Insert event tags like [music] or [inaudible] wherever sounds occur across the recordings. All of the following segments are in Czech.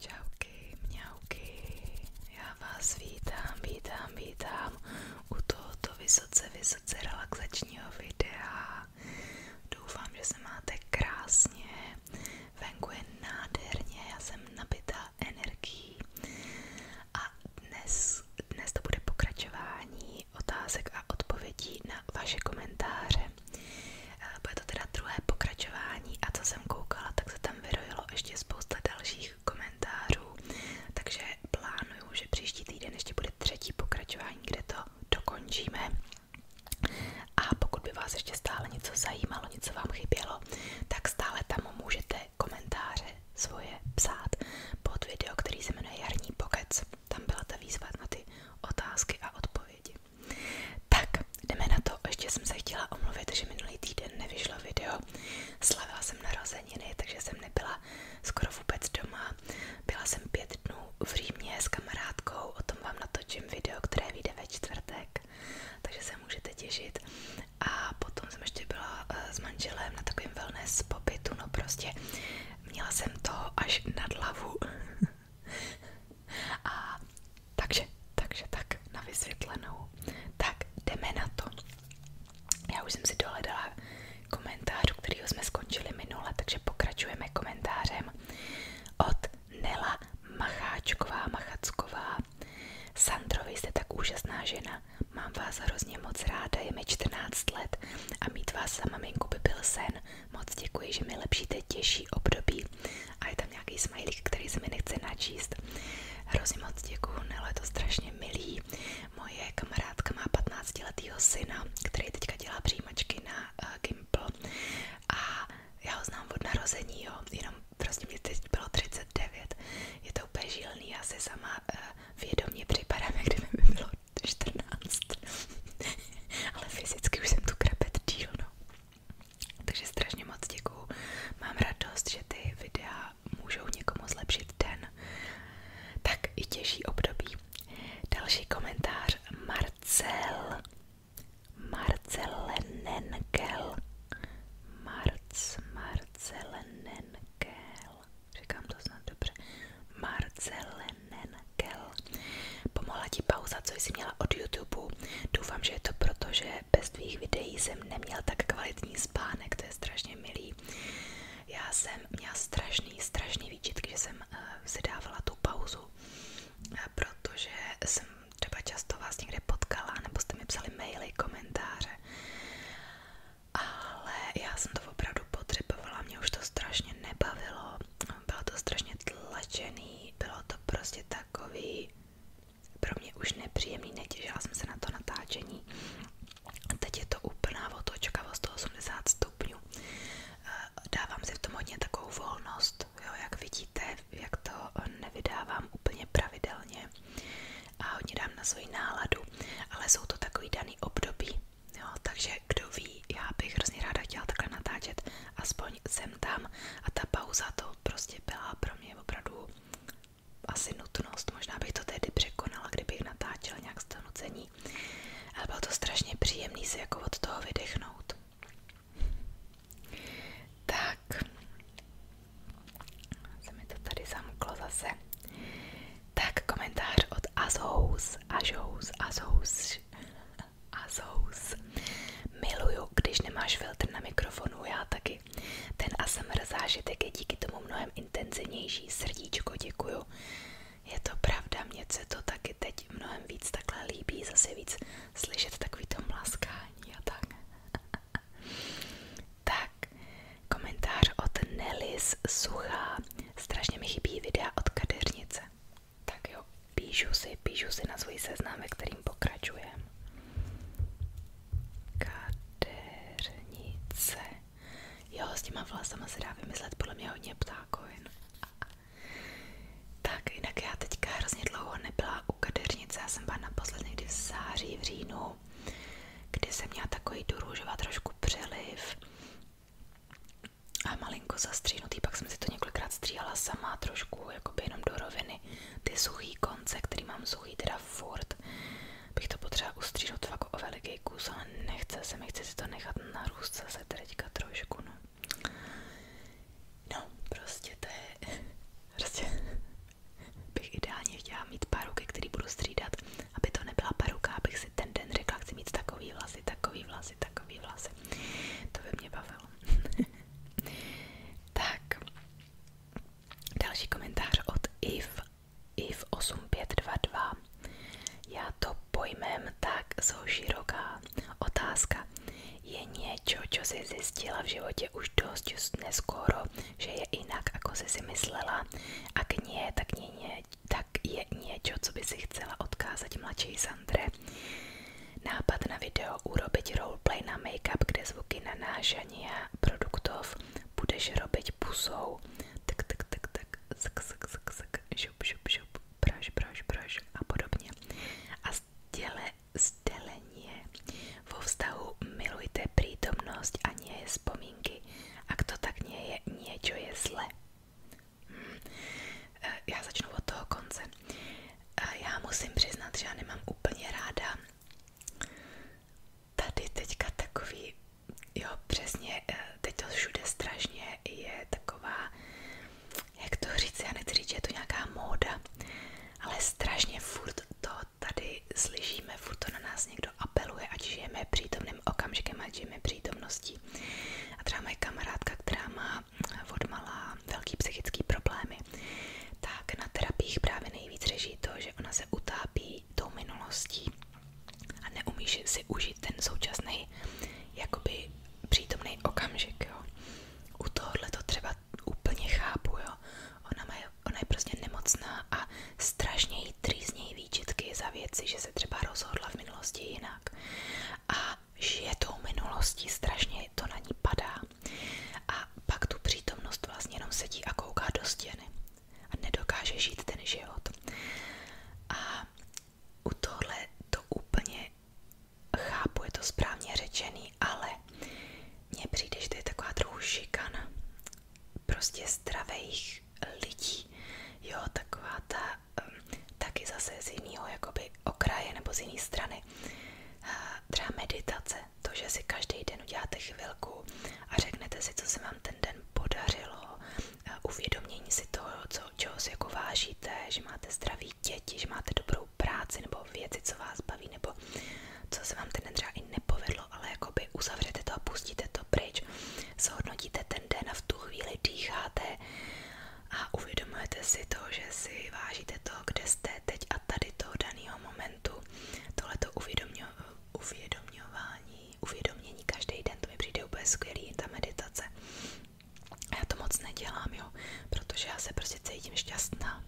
Čauky, mňauky, já vás vítám, vítám, vítám u tohoto vysoce, vysoce relaxačního videa. Doufám, že se máte krásně, venku je nádherně, já jsem nabitá energií a dnes, dnes to bude pokračování otázek a odpovědí na vaše komentáře. Eh, bude to teda druhé pokračování a co jsem koukala, tak se tam vyrojilo ještě spousta dalších komentářů, takže plánuju, že příští týden ještě bude třetí pokračování, kde to dokončíme. A pokud by vás ještě stále něco zajímalo, něco vám chybělo, tak stále tam můžete komentáře svoje psát pod video, který se jmenuje Jarní pokec tam byla ta výzva na ty otázky a odpovědi. Tak, jdeme na to. Ještě jsem se chtěla omluvit, že minulý týden nevyšlo video. Slavila jsem narozeniny, takže jsem nebyla skoro vůbec doma. Byla jsem pět dnů v Římě s kamarádkou, o tom vám natočím video, které vyjde ve čtvrtek, takže se můžete těšit. A potom jsem ještě byla eh, s manželem na takovém wellness pobytu, no prostě měla jsem toho až nad hlavu. [laughs] A takže, takže tak na vysvětlenou. Tak jdeme na to. Já už jsem si dohledala komentář, u kterého jsme skončili minule, takže pokračujeme komentářem od Nela Macháčková Machacková. Sandrovi jste tak úžasná žena, mám vás hrozně moc ráda, je mi 14 let a mít vás za maminku by byl sen, Moc děkuji, že mi lepšíte těžší období a je tam nějaký smajlík, který se mi nechce načíst. Hrozně moc děkuji, Nelo, je to strašně milý. Moje kamarádka má 15 letýho syna, který teďka dělá přijímačky na uh, Gimple a já ho znám od narození, jo, jenom prostě mě teď bylo 39. Je to úplně žilný, já se sama uh, vědomě připadám, [laughs] jak kdyby mi bylo 14. [laughs] Ale fyzicky už jsem tu krepet díl, no. Takže strašně moc děkuju. Mám radost, že ty videa můžou někomu zlepšit den. Tak i těžší období. Další komentář Marcel. Marcelenenkel. Marc, Marcelenenkel. Říkám to snad dobře. Marcelenenkel. Pomohla ti pauza, co jsi měla od YouTube. Doufám, že je to proto, že bez tvých videí jsem neměl tak kvalitní spánek, to je strašně milý. Já jsem měla strašný, strašný výčitky, že jsem uh, si dávala tu pauzu, uh, protože jsem třeba často vás někde potkala, nebo jste mi psali maily, komentáře. Ale já jsem to opravdu potřebovala, mě už to strašně nebavilo, bylo to strašně tlačený, bylo to prostě takový pro mě už nepříjemný, netěžila jsem se na to natáčení. Teď je to úplná otočka o 180 stupňů. Eh, dávám si v tom hodně takovou volnost, jo, jak vidíte, jak to nevydávám úplně pravidelně a hodně dám na svoji náladu, ale jsou to takový daný období. Jo, takže kdo ví, já bych hrozně ráda chtěla takhle natáčet, aspoň jsem tam a ta pauza to prostě byla pro mě opravdu asi nutnost, možná bych to tehdy překonala, kdybych natáčela nějak z toho nucení, ale bylo to strašně příjemný si jako od toho vydechnout. Tak, se mi to tady zamklo zase. Tak komentář od Azous, Azous, Azous. Azous. Miluju, když nemáš filtr na mikrofonu, já taky. Ten ASMR zážitek je díky tomu mnohem intenzivnější. Srdíčko, děkuju. Je to pravda, mně se to taky teď mnohem víc takhle líbí, zase víc slyšet takový to mlaskání a tak. [laughs] tak, komentář od Nelis Suchá. Strašně mi chybí videa od kadeřnice. Tak jo, píšu si, píšu si na svůj seznam, ve kterým pokračujem. Kadeřnice. Jo, s těma vlasama se dá vymyslet podle mě hodně ptákovin. Tak, jinak já teďka hrozně dlouho nebyla u kadeřnice, já jsem byla naposled někdy v září, v říjnu, kdy jsem měla takový tu růžova trošku přeliv a malinko zastříhnutý, pak jsem si to několikrát stříhala sama, trošku jakoby jenom do roviny, ty suchý konce, který mám suchý teda furt, bych to potřeba ustříhnout fakt o veliký kus, ale nechce se mi, chci si to nechat narůst zase teďka trošku, no. No, prostě to je, [laughs] prostě [laughs] bych ideálně chtěla mít paruky, který budu střídat, aby to nebyla paruka, abych si ten den řekla, chci mít takový vlasy, takový vlasy, takový takový vlasy. To by mě bavilo. [laughs] tak, další komentář od If, if8522. Já to pojmem tak zoširoká. Otázka. Je něco, co jsi zjistila v životě už dost neskoro, že je jinak, ako jsi si myslela a k ní je tak ně tak je něco, co by si chcela odkázat mladší Sandre. Nápad na video urobiť roleplay na make-up, kde zvuky nanášania produktov budeš robiť pusou. Tak, tak, tak, tak, sak, sak, sak, sak, šup, šup, šup, praž, praž, praž a podobně. A sděle, sdělenie. Vo vztahu milujte prítomnost a nie je vzpomínky. A kdo tak nie je, niečo je zle. Eh, já začnu od toho konce. Eh, já musím přiznat, že já nemám úplně ráda tady teďka takový, jo přesně, eh, teď to všude strašně je taková, jak to říct, já nechci říct, že je to nějaká móda, ale strašně furt to tady slyšíme, furt to na nás někdo apeluje, ať žijeme přítomným okamžikem, ať žijeme přítomností lidí. A třeba moje kamarádka, která má odmala velký psychický problémy, tak na terapiích právě nejvíc řeší to, že ona se utápí tou minulostí a neumí si užít ten současný jakoby přítomný okamžik, jo. U tohohle to třeba úplně chápu, jo. Ona, má, ona je prostě nemocná a strašně jí trýznějí výčitky za věci, že se třeba rozhodla v minulosti jinak. A žije tou minulostí, strašně to na ní padá a pak tu přítomnost vlastně jenom sedí a kouká do stěny a nedokáže žít ten život. A u tohle to úplně chápu, je to správně řečený, ale mně přijde, že to je taková trochu šikana prostě zdravých lidí, jo, taková ta Ehm, taky zase z jiného jakoby okraje nebo z jiné strany. Třeba meditace, to, že si každý den uděláte chvilku a řeknete si, co se vám ten den podařilo, uvědomění si toho, co, čeho si jako vážíte, že máte zdraví děti, že máte dobrou práci nebo věci, co vás baví, nebo co se vám ten den třeba i nepovedlo, ale jakoby uzavřete to a pustíte to pryč, zhodnotíte ten den a v tu chvíli dýcháte a uvědomujete si to, že si vážíte to, kde jste teď a tady toho daného momentu. Tohleto uvědomování, uvědomění každý den, to mi přijde úplně skvělý, ta meditace. A já to moc nedělám, jo, protože já se prostě cítím šťastná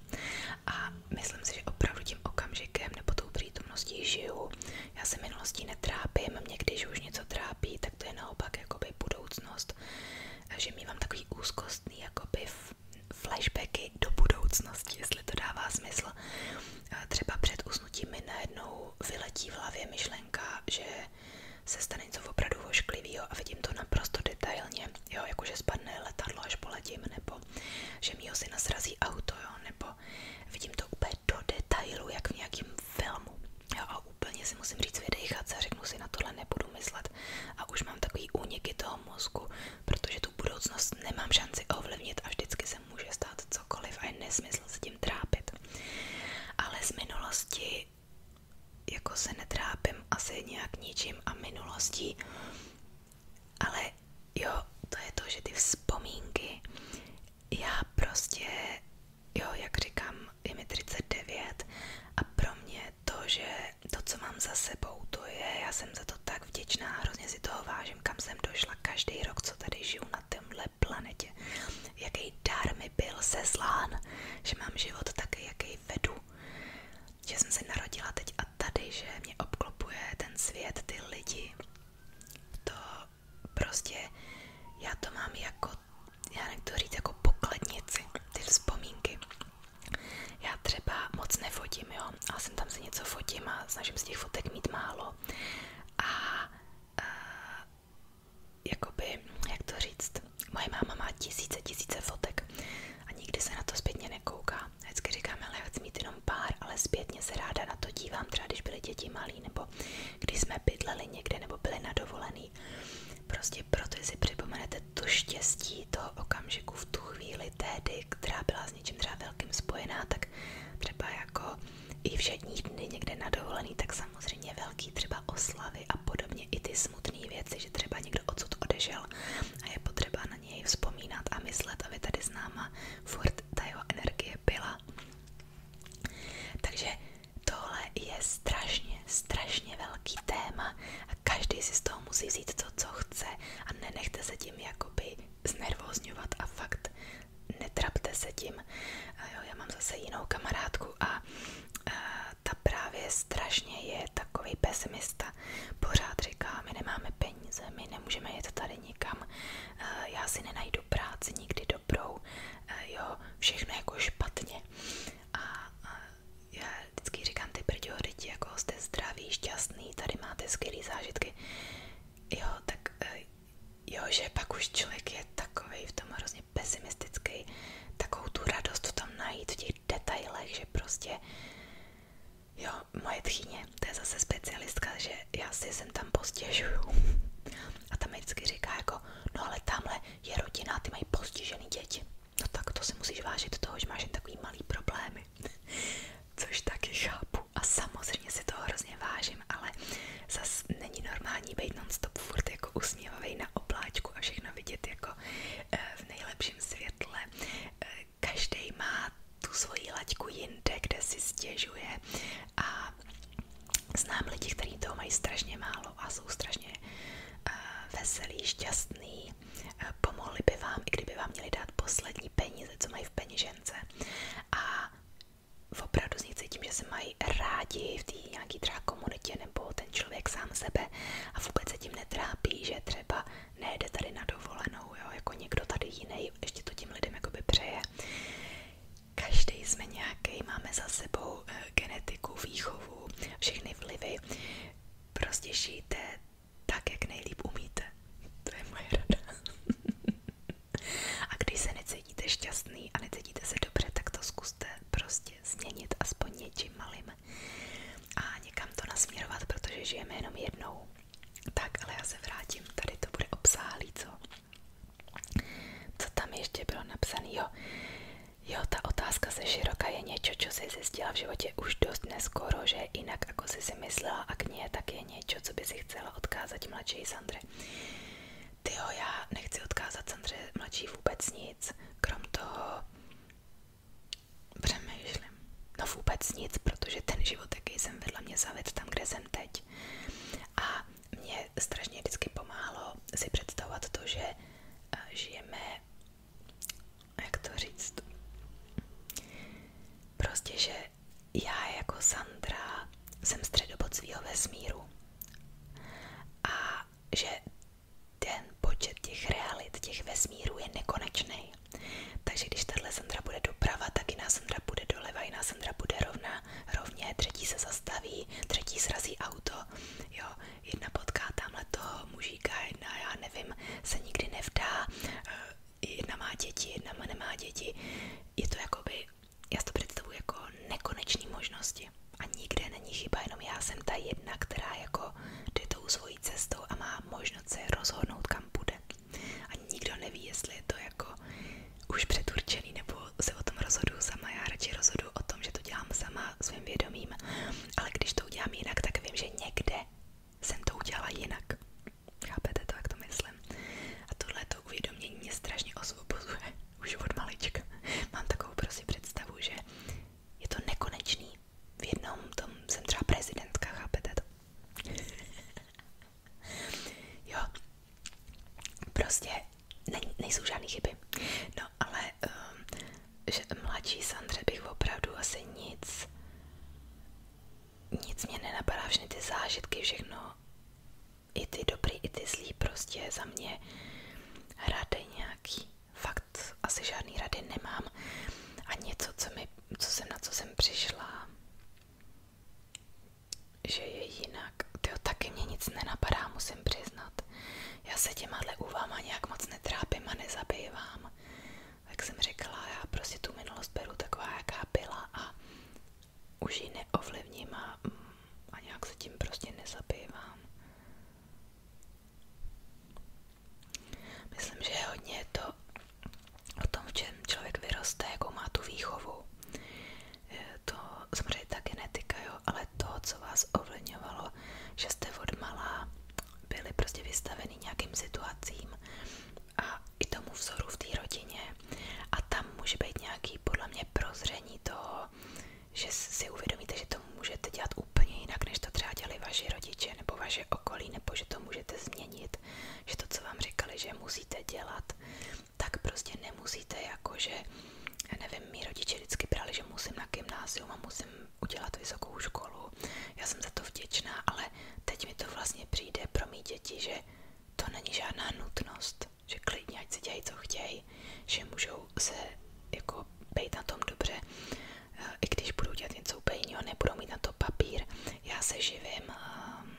a myslím si, že opravdu tím okamžikem nebo tou přítomností žiju. Já se minulostí netrápím, mě když už něco trápí, tak to je naopak jakoby budoucnost, že mívám takový úzkostný jakoby flashbacky do budoucnosti, jestli to dává smysl. Třeba před usnutím mi najednou vyletí v hlavě myšlenka, že se stane něco opravdu ošklivého a vidím to naprosto detailně, jo, jakože spadne letadlo, až poletím, nebo že mýho si nasrazí auto, jo, nebo vidím to úplně do detailu, jak v nějakým filmu. Jo, a úplně si musím říct vydejchat se, řeknu si, na tohle nebudu myslet. A už mám takový úniky toho mozku, protože tu budoucnost nemám šanci ovlivnit a vždycky se může stát cokoliv a je nesmysl se tím trápit. Ale z minulosti jako se netrápím asi nějak ničím a minulostí, ale jo, to je to, že ty vzpomínky, já prostě jo, jak říkám, je mi 39 a pro mě to, že to, co mám za sebou, to je, já jsem za to tak vděčná, hrozně si toho vážím, kam jsem došla každý rok, co tady žiju na téhle planetě. Jaký dar mi byl seslán, že mám život taky, jaký vedu. Že jsem se narodila teď a tady, že mě obklopuje ten svět, ty lidi. To prostě já to mám jako, já nechci říct, jako pokladnici, ty vzpomínky. Já třeba moc nefotím, jo, ale jsem tam si něco fotím a snažím se těch fotek mít málo. A, a jakoby, jak to říct, moje máma má tisíce, tisíce fotek a nikdy se na to zpětně nekouká. Vždycky říkám, ale já chci mít jenom pár, ale zpětně se ráda na to dívám, třeba když byly děti malí, nebo když jsme bydleli někde, nebo byli na dovolený Prostě proto si připomenete to štěstí toho okamžiku v tu chvíli tehdy, která byla s něčím třeba velkým spojená, tak třeba jako i všední dny někde na dovolený, tak samozřejmě velký třeba oslavy a podobně i ty smutné věci, že třeba někdo odsud odešel a je potřeba na něj vzpomínat a myslet, aby tady s náma furt ta jeho energie byla. Takže Tohle je strašně, strašně velký téma a každý si z toho musí vzít to, co chce a nenechte se tím jakoby znervozňovat a fakt netrapte se tím. Jo, já mám zase jinou kamarádku a, a ta právě strašně je takový pesimista. Pořád říká, my nemáme peníze, my nemůžeme jet tady nikam, já si nenajdu tu práci nikdy dobrou, eh, jo, všechno jako špatně. A, a já vždycky říkám ty prděho děti, jako jste zdraví, šťastný, tady máte skvělé zážitky. Jo, tak eh, jo, že pak už člověk je takový v tom hrozně pesimistický, takovou tu radost v tom najít v těch detailech, že prostě Jo, moje tchýně, to je zase specialistka, že já si sem tam postěžuju. [laughs] A tam mi vždycky říká jako, no ale tamhle je rodina, ty mají postižený děti. No tak to si musíš vážit toho, že máš jen takový malý problémy. [laughs] Což taky chápu. A samozřejmě si toho hrozně vážím, ale zas není normální být non-stop furt jako usměvavej na obláčku a všechno vidět jako eh, v nejlepším světle. Eh, každý má tu svoji laťku jinde, kde si stěžuje a Znám lidi, kteří toho mají strašně málo a jsou strašně uh, veselí, šťastní, uh, pomohli by vám, i kdyby vám měli dát poslední peníze, co mají v peněžence. A opravdu z nich cítím, že se mají rádi v té nějaké třeba komunitě nebo ten člověk sám sebe a vůbec se tím netrápí, že třeba nejde tady na dovolenou, jo, jako někdo tady jiný, ještě to tím lidem jakoby přeje. Každý jsme nějaký, máme za sebou eh, genetiku, výchovu, všechny vlivy. Prostě žijte tak, jak nejlíp umíte. To je moje rada. [laughs] a když se necítíte šťastný a necítíte se dobře, tak to zkuste prostě změnit aspoň něčím malým a někam to nasměrovat, protože žijeme jenom jednou. Tak, ale já se vrátím, tady to bude obsáhlý, co? Co tam ještě bylo napsané? Jo, jo, ta otázka se široka je něco, co jsi zjistila v životě už dost neskoro, že jinak, jako jsi si myslela a k ní je je něco, co by si chcela odkázat mladší Sandře. Tyjo, já nechci odkázat Sandře mladší vůbec nic, krom toho přemýšlím. No vůbec nic, protože ten život, jaký jsem vedla, mě zavedl tam, kde jsem teď. A mě strašně vždycky pomáhlo si představovat to, že eh, žijeme, jak to říct, prostě, že já jako Sandra jsem středobod svýho vesmíru a že ten počet těch realit, těch vesmírů je nekonečný. Takže když tahle Sandra bude doprava, tak i jiná Sandra bude doleva, i jiná Sandra bude rovná, rovně, třetí se zastaví, třetí srazí auto, jo, jedna potká tamhle toho mužíka, jedna, já nevím, se nikdy nevdá, eh, jedna má děti, jedna nemá děti, je to jakoby, já si to představuji jako nekonečný možnosti a nikde není chyba, jenom já jsem ta jedna, která jako jde tou svojí cestou a má možnost se rozhodnout, kam půjde a nikdo neví, jestli je to jako už předurčený, nebo se o tom rozhodu sama. Já radši rozhodu o tom, že to dělám sama svým vědomím, ale když to udělám jinak, tak vím, že někde jsem to udělala jinak. Chápete to, jak to myslím? A tohle to uvědomění mě strašně osvobozuje [laughs] už od malička. Mám takovou prostě představu, že je to nekonečný. V jednom tom jsem třeba prezidentka, chápete to? [laughs] jo, Prostě ne, nejsou žádné chyby. No ale um, že mladší Sandře bych opravdu asi nic, nic mě nenapadá, všechny ty zážitky, všechno, i ty dobrý, i ty zlý, prostě za mě rady nějaký, fakt asi žádný rady nemám a něco, co, mi, co jsem na co jsem přišla, že je jinak. Tyjo, taky mě nic nenapadá, musím přiznat. Já se těma úvama nějak moc netrápím a nezabývám. Jak jsem řekla, já prostě tu minulost beru taková, jaká byla a už ji neovlivním a, mm, a nějak se tím prostě nezabývám. Myslím, že je hodně to o tom, v čem člověk vyroste, jakou má tu výchovu to samozřejmě ta genetika, jo, ale to, co vás ovlivňovalo, že jste od malá byli prostě vystaveni nějakým situacím a i tomu vzoru v té rodině a tam může být nějaký podle mě prozření toho, že si uvědomíte, že to můžete dělat úplně jinak, než to třeba dělali vaši rodiče nebo vaše okolí, nebo že to můžete změnit, že to, co vám říkali, že musíte dělat, tak prostě nemusíte jako jakože, nevím, mý rodiče vždycky brali, že musím na gymnázium a musím udělat vysokou školu. Já jsem za to vděčná, ale teď mi to vlastně přijde pro mý děti, že to není žádná nutnost, že klidně, ať si dělají, co chtějí, že můžou se jako být na tom dobře, eh, i když budou dělat něco úplně jiného, nebudou mít na to papír. Já se živím ehm,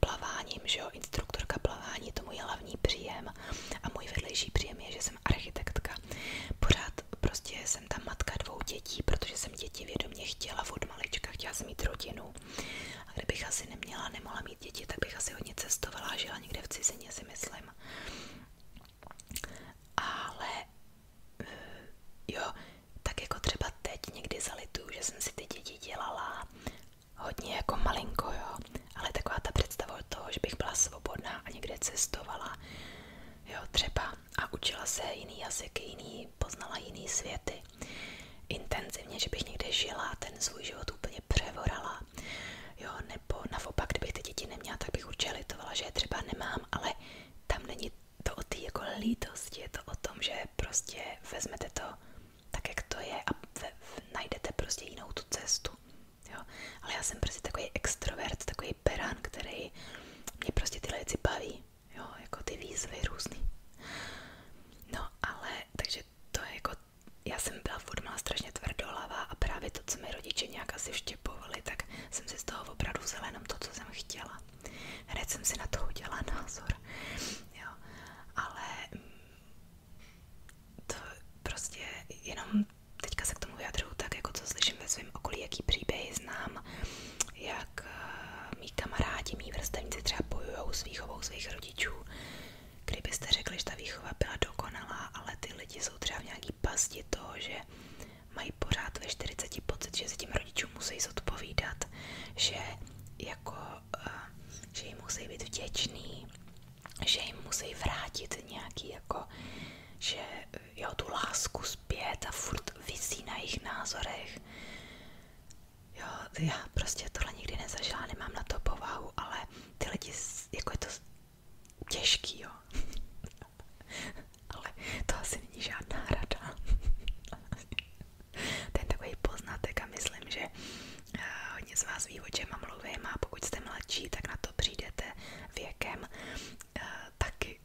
plaváním, že jo, instruktorka plavání, to můj hlavní příjem a můj vedlejší příjem je, že jsem architektka. Pořád prostě jsem ta matka dvou dětí, protože jsem děti vědomě chtěla od malička, chtěla jsem mít rodinu. A kdybych asi neměla, nemohla mít děti, tak bych asi hodně cestovala a žila někde v cizině, si myslím. Ale eh, jo, tak jako třeba teď někdy zalituju, že jsem si ty děti dělala hodně jako malinko, jo, ale taková ta představa toho, že bych byla svobodná a někde cestovala, jo, třeba a učila se jiný jazyky, jiný, poznala jiný světy, intenzivně, že bych někde žila, ten svůj život úplně převorala, jo, nebo naopak, kdybych ty děti neměla, tak bych určitě litovala, že je třeba nemám, ale tam není to o té jako lítosti, je to o tom, že prostě vezmete to tak, jak to je a najdete prostě jinou tu cestu jo. Ale já jsem prostě takový extrovert, takový perán, který mě prostě tyhle věci baví, jo, jako ty výzvy různý. No ale, takže to je jako, já jsem byla furt má strašně tvrdolavá a právě to, co mi rodiče nějak asi vštěpovali, tak jsem si z toho opravdu vzala jenom to, co jsem chtěla. Hned jsem si na to udělala názor, jo, ale mm, to prostě jenom teďka se k tomu vyjadřuju tak, jako co slyším ve svém okolí, jaký příběhy znám, jak eh, mý kamarádi, mý vrstevníci třeba bojují s výchovou svých rodičů. Kdybyste řekli, že ta výchova byla dokonalá, ale ty lidi jsou třeba v nějaký pasti toho, že mají pořád ve 40 pocit, že se tím rodičům musí zodpovídat, že jako, eh, že jim musí být vděčný, že jim musí vrátit nějaký jako, že jo, tu lásku zpět a furt visí na jejich názorech. Jo, já prostě tohle nikdy nezažila, nemám na to povahu, ale ty lidi, jako je to těžký, jo. [laughs] ale to asi není žádná rada. [laughs] Ten takový poznatek a myslím, že hodně z vás ví, o čem mluvím a pokud jste mladší, tak na to přijdete věkem eh, taky.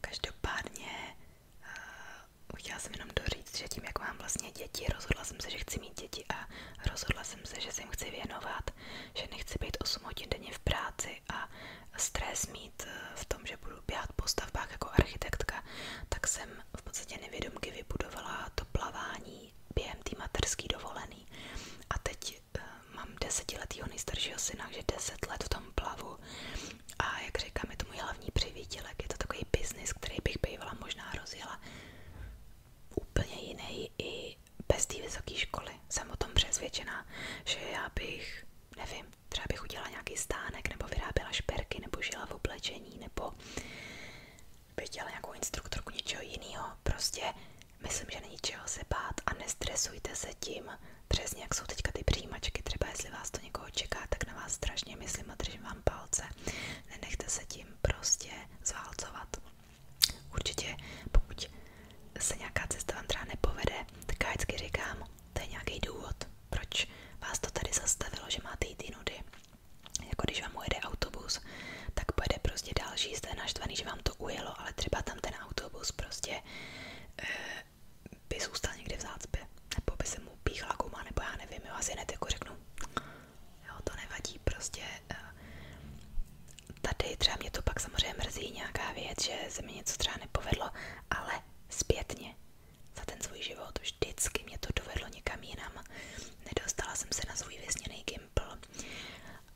Každopádně eh, chtěla jsem jenom doříct, že tím, jak mám vlastně děti, rozhodla se, že chci mít děti a rozhodla se, že se chci věnovat, že nechci být 8 hodin denně v práci a stres mít eh, v tom, že budu běhat po stavbách jako architektka, tak jsem v podstatě nevědomky vybudovala to plavání dovolený, během té materské dovolený. A teď uh, mám desetiletýho nejstaršího syna, že deset let v tom plavu. A jak říkám, je to můj hlavní přivítělek. Je to takový biznis, který bych bývala možná rozjela úplně jiný i bez té vysoké školy. Jsem o tom přesvědčená, že já bych, nevím, třeba bych udělala nějaký stánek, nebo vyráběla šperky, nebo žila v oblečení, nebo bych dělala nějakou instruktorku něčeho jiného. Prostě myslím, že není čeho se bát a nestresujte se tím. Přesně jak jsou teďka ty přijímačky, třeba jestli vás to někoho čeká, tak na vás strašně myslím a držím vám palce. Nenechte se tím prostě zválcovat. Určitě, pokud se nějaká cesta vám třeba nepovede, tak já vždycky říkám, to je nějaký důvod, proč vás to tady zastavilo, že máte jít jinudy. Jako když vám ujede autobus, tak pojede prostě další, jste naštvaný, že vám to ujelo, ale třeba tam ten autobus prostě e, by zůstal někde v zácpě, nebo by se mu píchla guma, nebo já nevím, jo, asi hned jako řeknu, jo, to nevadí, prostě e, tady třeba mě to pak samozřejmě mrzí nějaká věc, že se mi něco třeba nepovedlo, ale zpětně za ten svůj život vždycky mě to dovedlo někam jinam nedostala jsem se na svůj věsněný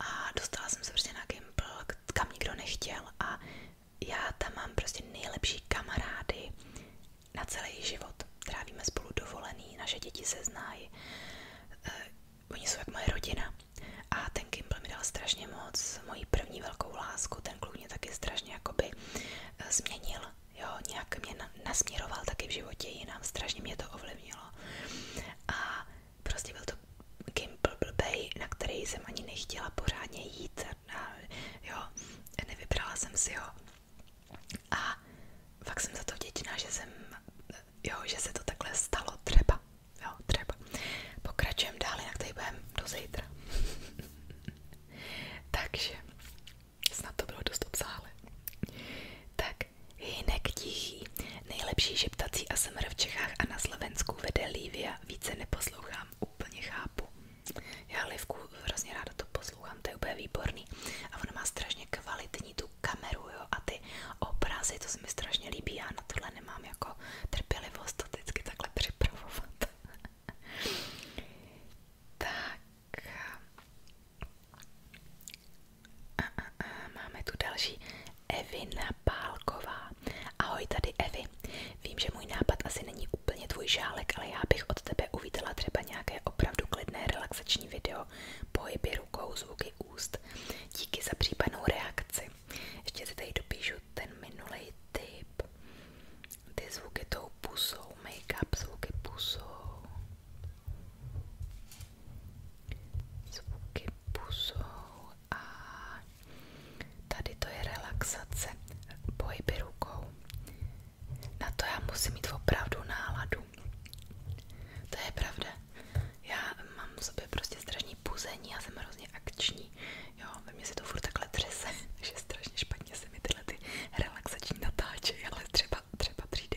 a dostala jsem se prostě na Gimpl, kam nikdo nechtěl a já tam mám prostě nejlepší kamarády na celý život. Trávíme spolu dovolený, naše děti se znají, eh, oni jsou jak moje rodina. A ten Gimpl mi dal strašně moc, moji první velkou lásku, ten kluk mě taky strašně jakoby eh, změnil jo, nějak mě na, nasměroval taky v životě jinam, strašně mě to ovlivnilo a prostě byl to gimbal blbej, na který jsem ani nechtěla pořádně jít a, jo, nevybrala jsem si ho a fakt jsem za to vděčná, že jsem, jo, že se to takhle stalo třeba, jo, třeba. Pokračujeme dál, jinak tady budeme do zítra. [laughs] Takže, Snad to bylo dost obsáhlé. Tak, Hinek tichý. Nejlepší šeptací ASMR v Čechách a na Slovensku vede Lívia. Více neposlouchám, úplně chápu. Já Livku hrozně ráda to poslouchám, to je úplně výborný. A ona má strašně kvalitní tu kameru, jo, a ty obrazy, to se mi strašně líbí. Já na tohle nemám jako trpělivost to vždycky takhle připravovat. [laughs] tak, a, a, a, máme tu další Evina Pálková. Ahoj tady Evi. Vím, že můj nápad asi není úplně tvůj žálek, ale já bych od tebe uvítala třeba nějaké opravdu klidné relaxační video, pohyby rukou, zvuky úst. Díky za případnou reakci. Ještě si tady dopíšu ten minulý tip. Ty zvuky tou pusou, make-up zvuky pusou. Zvuky pusou a tady to je relaxace, pohyby rukou. Na to já musím mít opravdu náladu. To je pravda. Já mám v sobě prostě strašný puzení, já jsem hrozně akční. Jo, ve mně se to furt takhle třese, [laughs] že strašně špatně se mi tyhle ty relaxační natáčejí, ale třeba, třeba přijde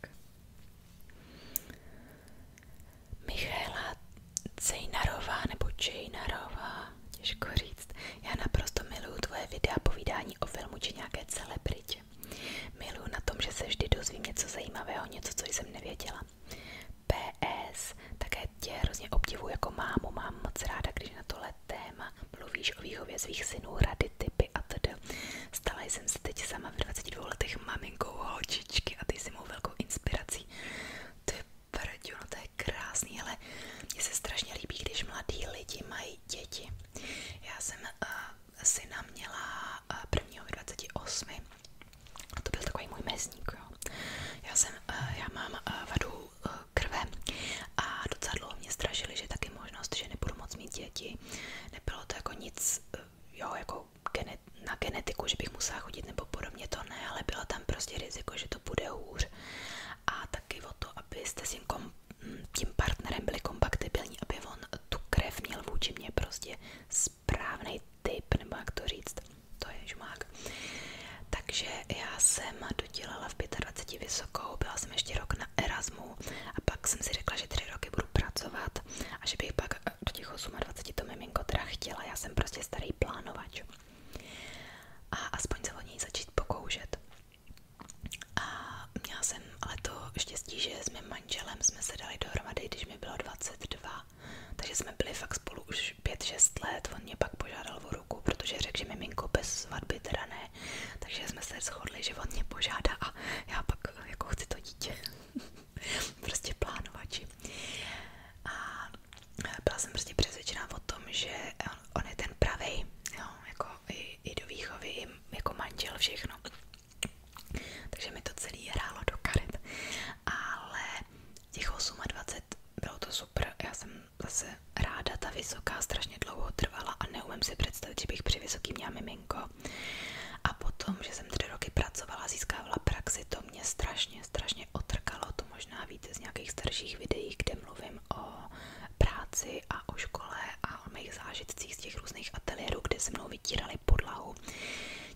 tak. Michaela nebo Čejnarová, těžko říct. Já naprosto miluju tvoje videa povídání o filmu či nějaké celebritě. Miluju na tom, že se dozvím něco zajímavého, něco, co jsem nevěděla. PS, také tě hrozně obdivuji jako mámu, mám moc ráda, když na tohle téma mluvíš o výchově svých synů, rady, typy atd ráda. Stala jsem se teď sama v 22 letech maminkou holčičky a ty jsi mou velkou inspirací. To je prďu, no to je krásný, ale mně se strašně líbí, když mladí lidi mají děti. Já jsem uh, syna měla uh, prvního 28. A to byl takový můj mezník, jo. Já jsem, uh, já mám uh, vadu uh, krve a docela dlouho mě strašili, že taky možnost, že nebudu moc mít děti. Nebylo to jako nic, uh, jo, jako na genetiku, že bych musela chodit nebo podobně to ne, ale bylo tam prostě riziko, že to bude hůř a taky o to, abyste s mm, tím, partnerem byli kompatibilní, aby on tu krev měl vůči mě prostě správný typ, nebo jak to říct, to je žmák. Takže já jsem dodělala v 25 vysokou, byla jsem ještě rok na Erasmu a pak jsem si řekla, že tři roky budu pracovat a že bych pak tak eh, do těch 28 to miminko teda chtěla, já jsem prostě starý plánovač. A aspoň se o něj začít pokoušet. A měla jsem ale to štěstí, že s mým manželem jsme se dali dohromady, když mi bylo 22. Takže jsme byli fakt spolu už 5-6 let, on mě pak požádal o ruku, protože řekl, že miminko bez svatby teda ne. Takže jsme se shodli, že on mě požádá a já pak eh, jako chci to dítě. [laughs] [laughs] prostě plánovači. A byla jsem prostě přesvědčená o tom, že on, on je ten pravý, jo, jako i, i do výchovy, i jako manžel, všechno. Takže mi to celé hrálo do karet. Ale těch 28 bylo to super. Já jsem zase ráda, ta vysoká strašně dlouho trvala a neumím si představit, že bych při vysoký měla miminko. A potom, že jsem tři roky pracovala, získávala praxi, to mě strašně, strašně otrkalo. To možná víte z nějakých starších videí, kde mluvím o práci a o škole a o mých zážitcích z těch různých ateliérů, kde se mnou vytírali podlahu.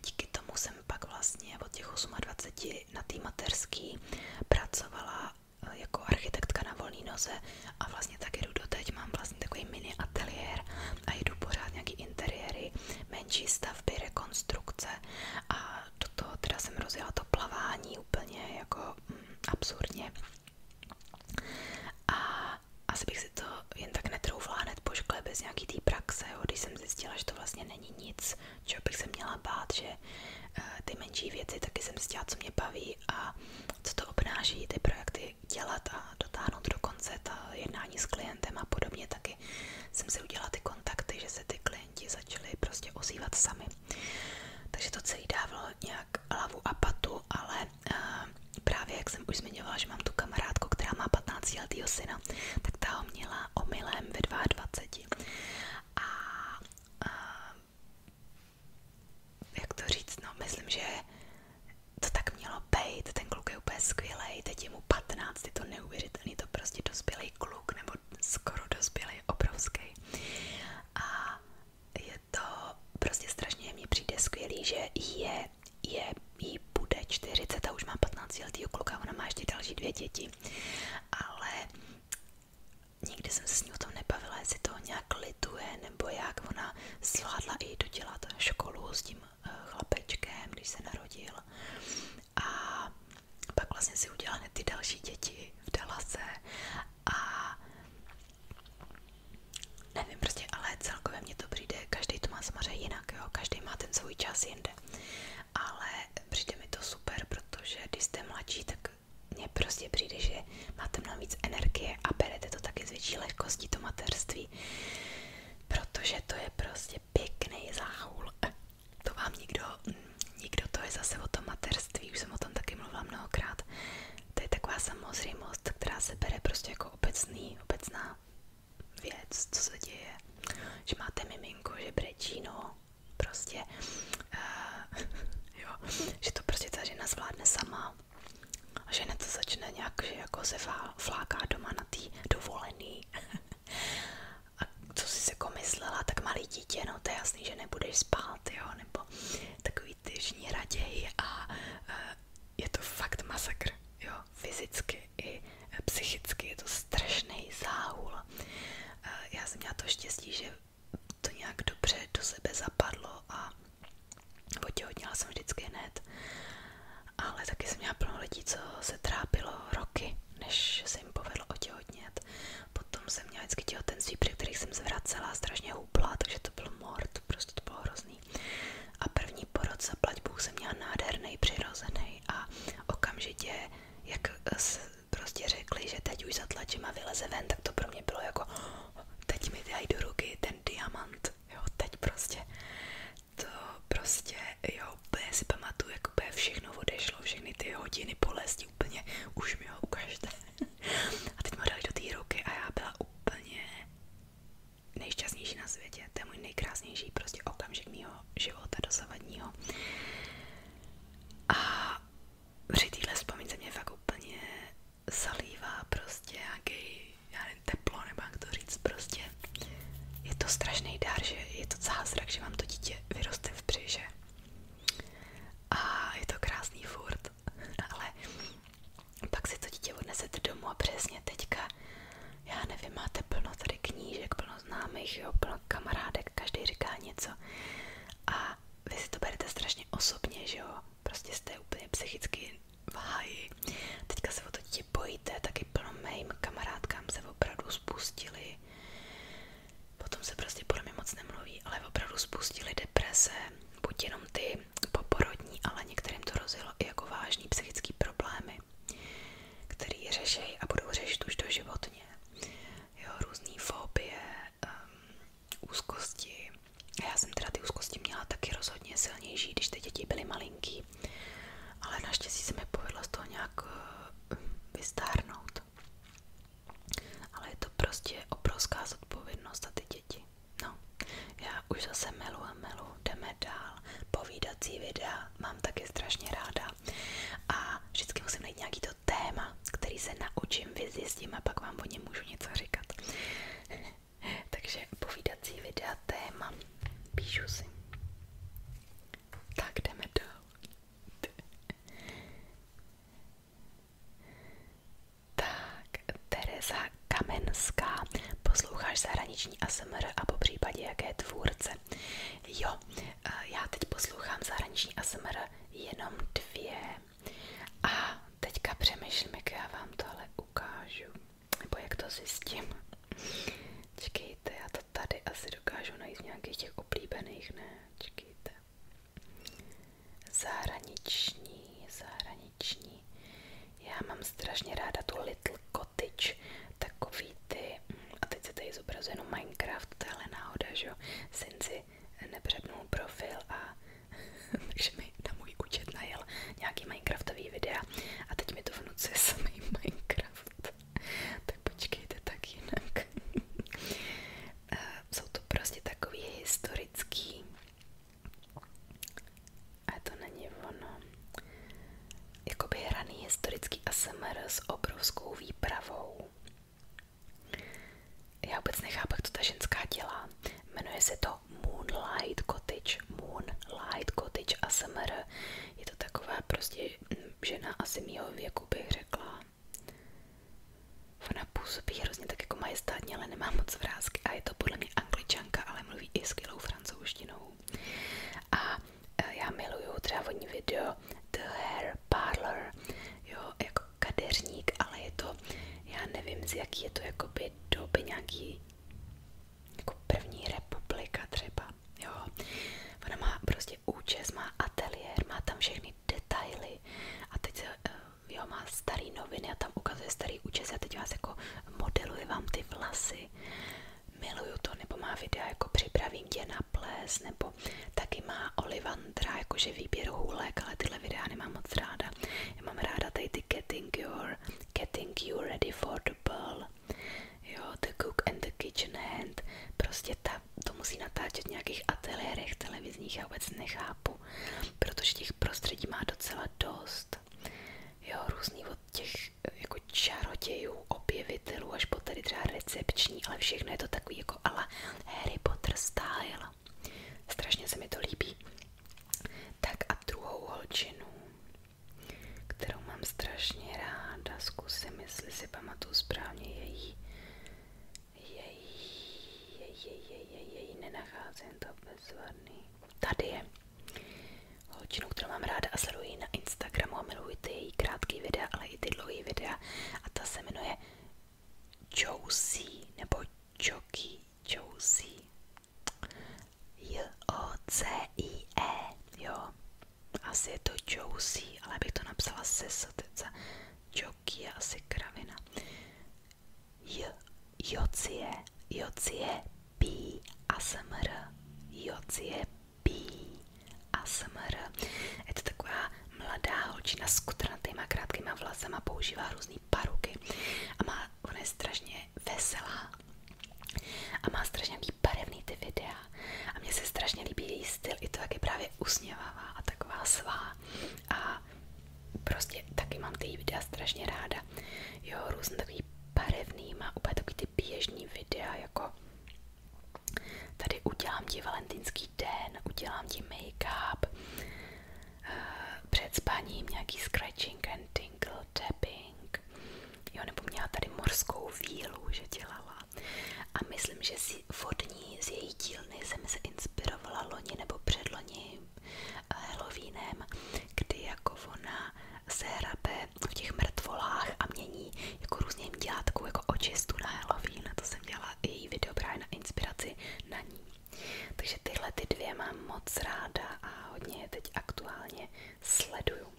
Díky tomu jsem pak vlastně od těch 28 na té materský pracovala eh, jako architektka na volné noze a vlastně taky jdu doteď, mám vlastně takový mini ateliér a jedu pořád nějaký interiéry, menší stavby, rekonstrukce a do toho jsem rozjela to plavání úplně jako mm, absurdně. A asi bych si to jen tak netroufla hned po bez nějaký té praxe, jsem zjistila, že to vlastně není nic, čeho bych se měla bát, že eh, ty menší věci taky jsem zjistila, co mě baví a co to obnáší, ty projekty, dělat a dotáhnout do konce ta jednání s klientem a podobně taky jsem si udělala ty kontakty, že se ty klienti začaly prostě ozývat sami. Takže to celý dávalo nějak hlavu a patu, ale uh, právě jak jsem už zmiňovala, že mám tu kamarádku, která má 15 letýho syna, tak ta ho měla omylem ve 22. A uh, jak to říct, no myslím, že to tak mělo být, ten kluk je úplně skvělý, teď je mu 15, je to neuvěřitelný, to prostě dospělý kluk, nebo skoro dospělý, obrovský. A je to prostě strašně, mně přijde skvělý, že je, je, jí bude 40 a už má 15 letý a ona má ještě další dvě děti, ale nikdy jsem se s ní o tom nebavila, jestli to nějak lituje, nebo jak ona zvládla i dodělat školu s tím chlapečkem, když se narodil a pak vlastně si udělal hned ty další děti v Dallase a nevím prostě, ale celkově mě to přijde, každý to má samozřejmě jinak, jo, každý má ten svůj čas jinde, ale přijde mi to super, protože když jste mladší, tak mně prostě přijde, že máte mnohem víc energie a berete to taky s větší lehkostí, to mateřství protože to je prostě pěkný záhul. To vám nikdo, nikdo to je zase o tom materství, už jsem o tom taky mluvila mnohokrát. To je taková samozřejmost, která se bere prostě jako obecný, obecná věc, co se děje. Že máte miminko, že brečí, no, prostě, uh, [laughs] jo, že to prostě ta žena zvládne sama že hned se začne nějak, že jako se fláká doma na té dovolený. [laughs] A co jsi jako myslela, tak malý dítě, no to je jasný, že nebudeš spát, jo, nebo takový ty žní raději a e, je to fakt masakr, jo, fyzicky i e, psychicky, je to strašný záhul. E, já jsem měla to štěstí, že to nějak dobře do sebe zapadlo a Otěhotněla jsem vždycky hned, ale taky jsem měla plno lidí, co se trápilo roky, než se jim povedlo otěhotnět. Potom jsem měla vždycky těhotenství, při kterých jsem zvracela, strašně hubla, takže to byl mord, prostě to bylo hrozný. A první porod za plať Bůh jsem měla nádherný, přirozený a okamžitě, jak prostě řekli, že teď už zatlačím a vyleze ven, tak to pro mě bylo jako oh, teď mi dají do ruky ten diamant, jo, teď prostě to prostě, jo, úplně si pamatuju, jak úplně všechno odešlo, všechny ty hodiny bolesti úplně, už mi ho ukažte. [laughs] A teď mi dali do té ruky a já byla úplně nejšťastnější na světě. To je můj nejkrásnější prostě okamžik mýho života dosavadního. A při téhle vzpomínce mě fakt úplně zalívá prostě nějaký já nevím, teplo, nebo jak to říct, prostě je to strašný dár, že je to zázrak, že vám to dítě vyroste v břiše. A je to krásný furt, [laughs] ale pak si to dítě odnesete domů a přesně teďka, já nevím, máte plno tady knížek, plno známých, jo, plno kamarádek, každý říká něco a vy si to berete strašně osobně, že jo, prostě jste úplně psychicky v háji. Teďka se o to dítě bojíte, plno mým kamarádkám se opravdu spustili. Potom se prostě podle mě moc nemluví, ale opravdu spustili deprese, buď ty poporodní, ale některým to rozjelo i jako vážný psychický problémy, který řešejí a budou řešit už doživotně. Jo, různý fobie, um, Já jsem teda ty úzkosti měla taky rozhodně silnější, když ty děti byly malinký. Ale naštěstí se mi povedlo z toho nějak eh, vystárnout. Ale je to prostě obrovská zodpovědnost za ty děti. No, já už zase melu a melu, jdeme dál. Povídací videa mám taky strašně ráda. A vždycky musím najít nějaký to téma, který se naučím, vyzjistím a pak vám o něm můžu něco říkat. [laughs] Takže povídací videa téma. Píšu si. Tak jdeme dál. [laughs] tak, Tereza Kamenská. Posloucháš zahraniční ASMR a po případě jaké tvůrce? Jo, eh, já teď poslouchám zahraniční ASMR jenom dvě. A teďka přemýšlím, jak já vám tohle ukážu nebo jak to zjistím. Čekejte, já to tady asi dokážu najít nějakých těch oblíbených, ne? Čekejte. Zahraniční, zahraniční. Já mám strašně ráda tu Little Cottage, takový ty, hm, a teď se tady zobrazuje jenom Minecraft, tohle náhoda, že jo, Sinci nepřepnul profil a [laughs] takže mi na můj účet najel nějaký minecraftový videa a teď mi to vnucuje [laughs] samý minecraft. tak počkejte, tak jinak. [laughs] Eh, jsou to prostě takový historický a to není ono. Jakoby hraný historický ASMR s obrovskou výpravou. Já vůbec nechápu, jak to ta ženská dělá. Jmenuje se to Moonlight Cottage, Moonlight Cottage ASMR, je to taková prostě žena asi mýho věku bych řekla. Ona působí hrozně tak jako majestátně, ale nemá moc vrázky a je to podle mě angličanka, ale mluví i skvělou francouzštinou. A e, já miluju třeba vodní video The Hair Parlor, jo, jako kadeřník, ale je to, já nevím z jaký je to jakoby doby nějaký jako první republika třeba, jo. Ona má prostě účes, má ateliér, má tam všechny detaily a teď eh, jo, má starý noviny a tam ukazuje starý účes a teď vás jako modeluje vám ty vlasy. Miluju to, nebo má videa jako připravím tě na ples, nebo taky má Olivandra, jakože výběr hůlek, ale tyhle videá nemám moc ráda. Já mám ráda tady ty Getting Your for getting you ready for the ball. Jo, the cook and the kitchen hand. Prostě ta, to musí natáčet v nějakých ateliérech televizních, já vůbec nechápu, protože těch prostředí má docela dost. Jo, různý od těch jako čarodějů, objevitelů, až po tady třeba recepční, ale všechno je to takový jako ala Harry Potter style. Strašně se mi to líbí. Tak a druhou holčinu kterou mám strašně ráda. Zkusím, jestli si pamatuju správně její její, její, její, její, její, nenacházím to bezvadný. Tady je holčinu, kterou mám ráda a sleduji na Instagramu a miluji ty její krátké videa, ale i ty dlouhé videa a ta se jmenuje Josie nebo Joky Josie. J-O-C-I-E, jo. Asi je to Josie, ale bych to napsala se sotice. Joky je asi kravina. J, Jocie, Jocie, P, ASMR, Jocie, P, ASMR. Je to taková mladá holčina s kutranatýma krátkýma vlasama, používá různé paruky a má, ona je strašně veselá a má strašně nějaký barevný ty videa a mně se strašně líbí její styl, i to jak právě usměvavá a taková svá a prostě taky mám ty videa strašně ráda. Jo, různý takový barevný, má úplně takový ty běžný videa, jako tady udělám ti den, udělám ti make-up, eh, před nějaký scratching and tingle tapping, jo, nebo měla tady morskou vílu, že dělala a myslím, že si vodní z její dílny jsem se inspirovala loni nebo předloni eh, Halloweenem, kdy jako ona se hrabe v těch mrtvolách a mění jako různě jim dělá takovou jako očistu na Halloween a to jsem dělala její video právě na inspiraci na ní. Takže tyhle ty dvě mám moc ráda a hodně je teď aktuálně sleduju.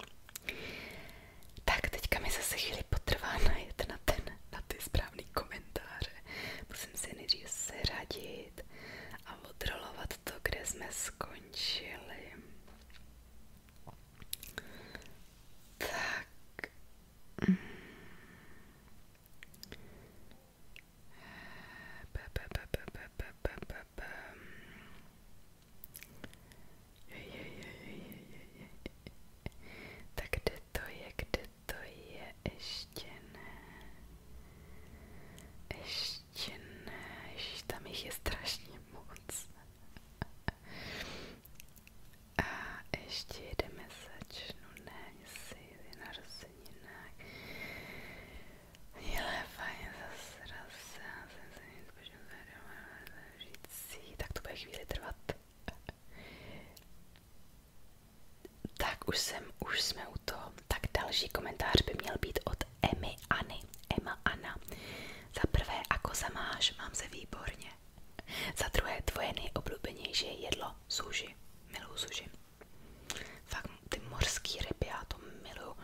Tak, teďka mi zase chvíli potrvá najet na, ten, na ty správný komentáře. Musím se nejdřív seradit a odrolovat to, kde jsme skončili. Tak. Mm. P, p, p, p, p, p, p, p, p. Tak kde to je, kde to je, ještě ne. Ještě ne, Ježiš, tam jich je strašně moc. A ještě jedeme začnu, ne, jestli je na rozeninách. Hele, fajn, zase raz, já jsem se něco říct tak to bude chvíli trvat. [laughs] Tak už jsem, už jsme u toho. Tak další komentář by měl být od Emmy Anny. Emma Anna. Za prvé, ako se máš, mám se výborně. Za druhé, tvoje nejoblíbenější jedlo, suši. Miluju suši. Fakt ty mořský ryby, já to miluju.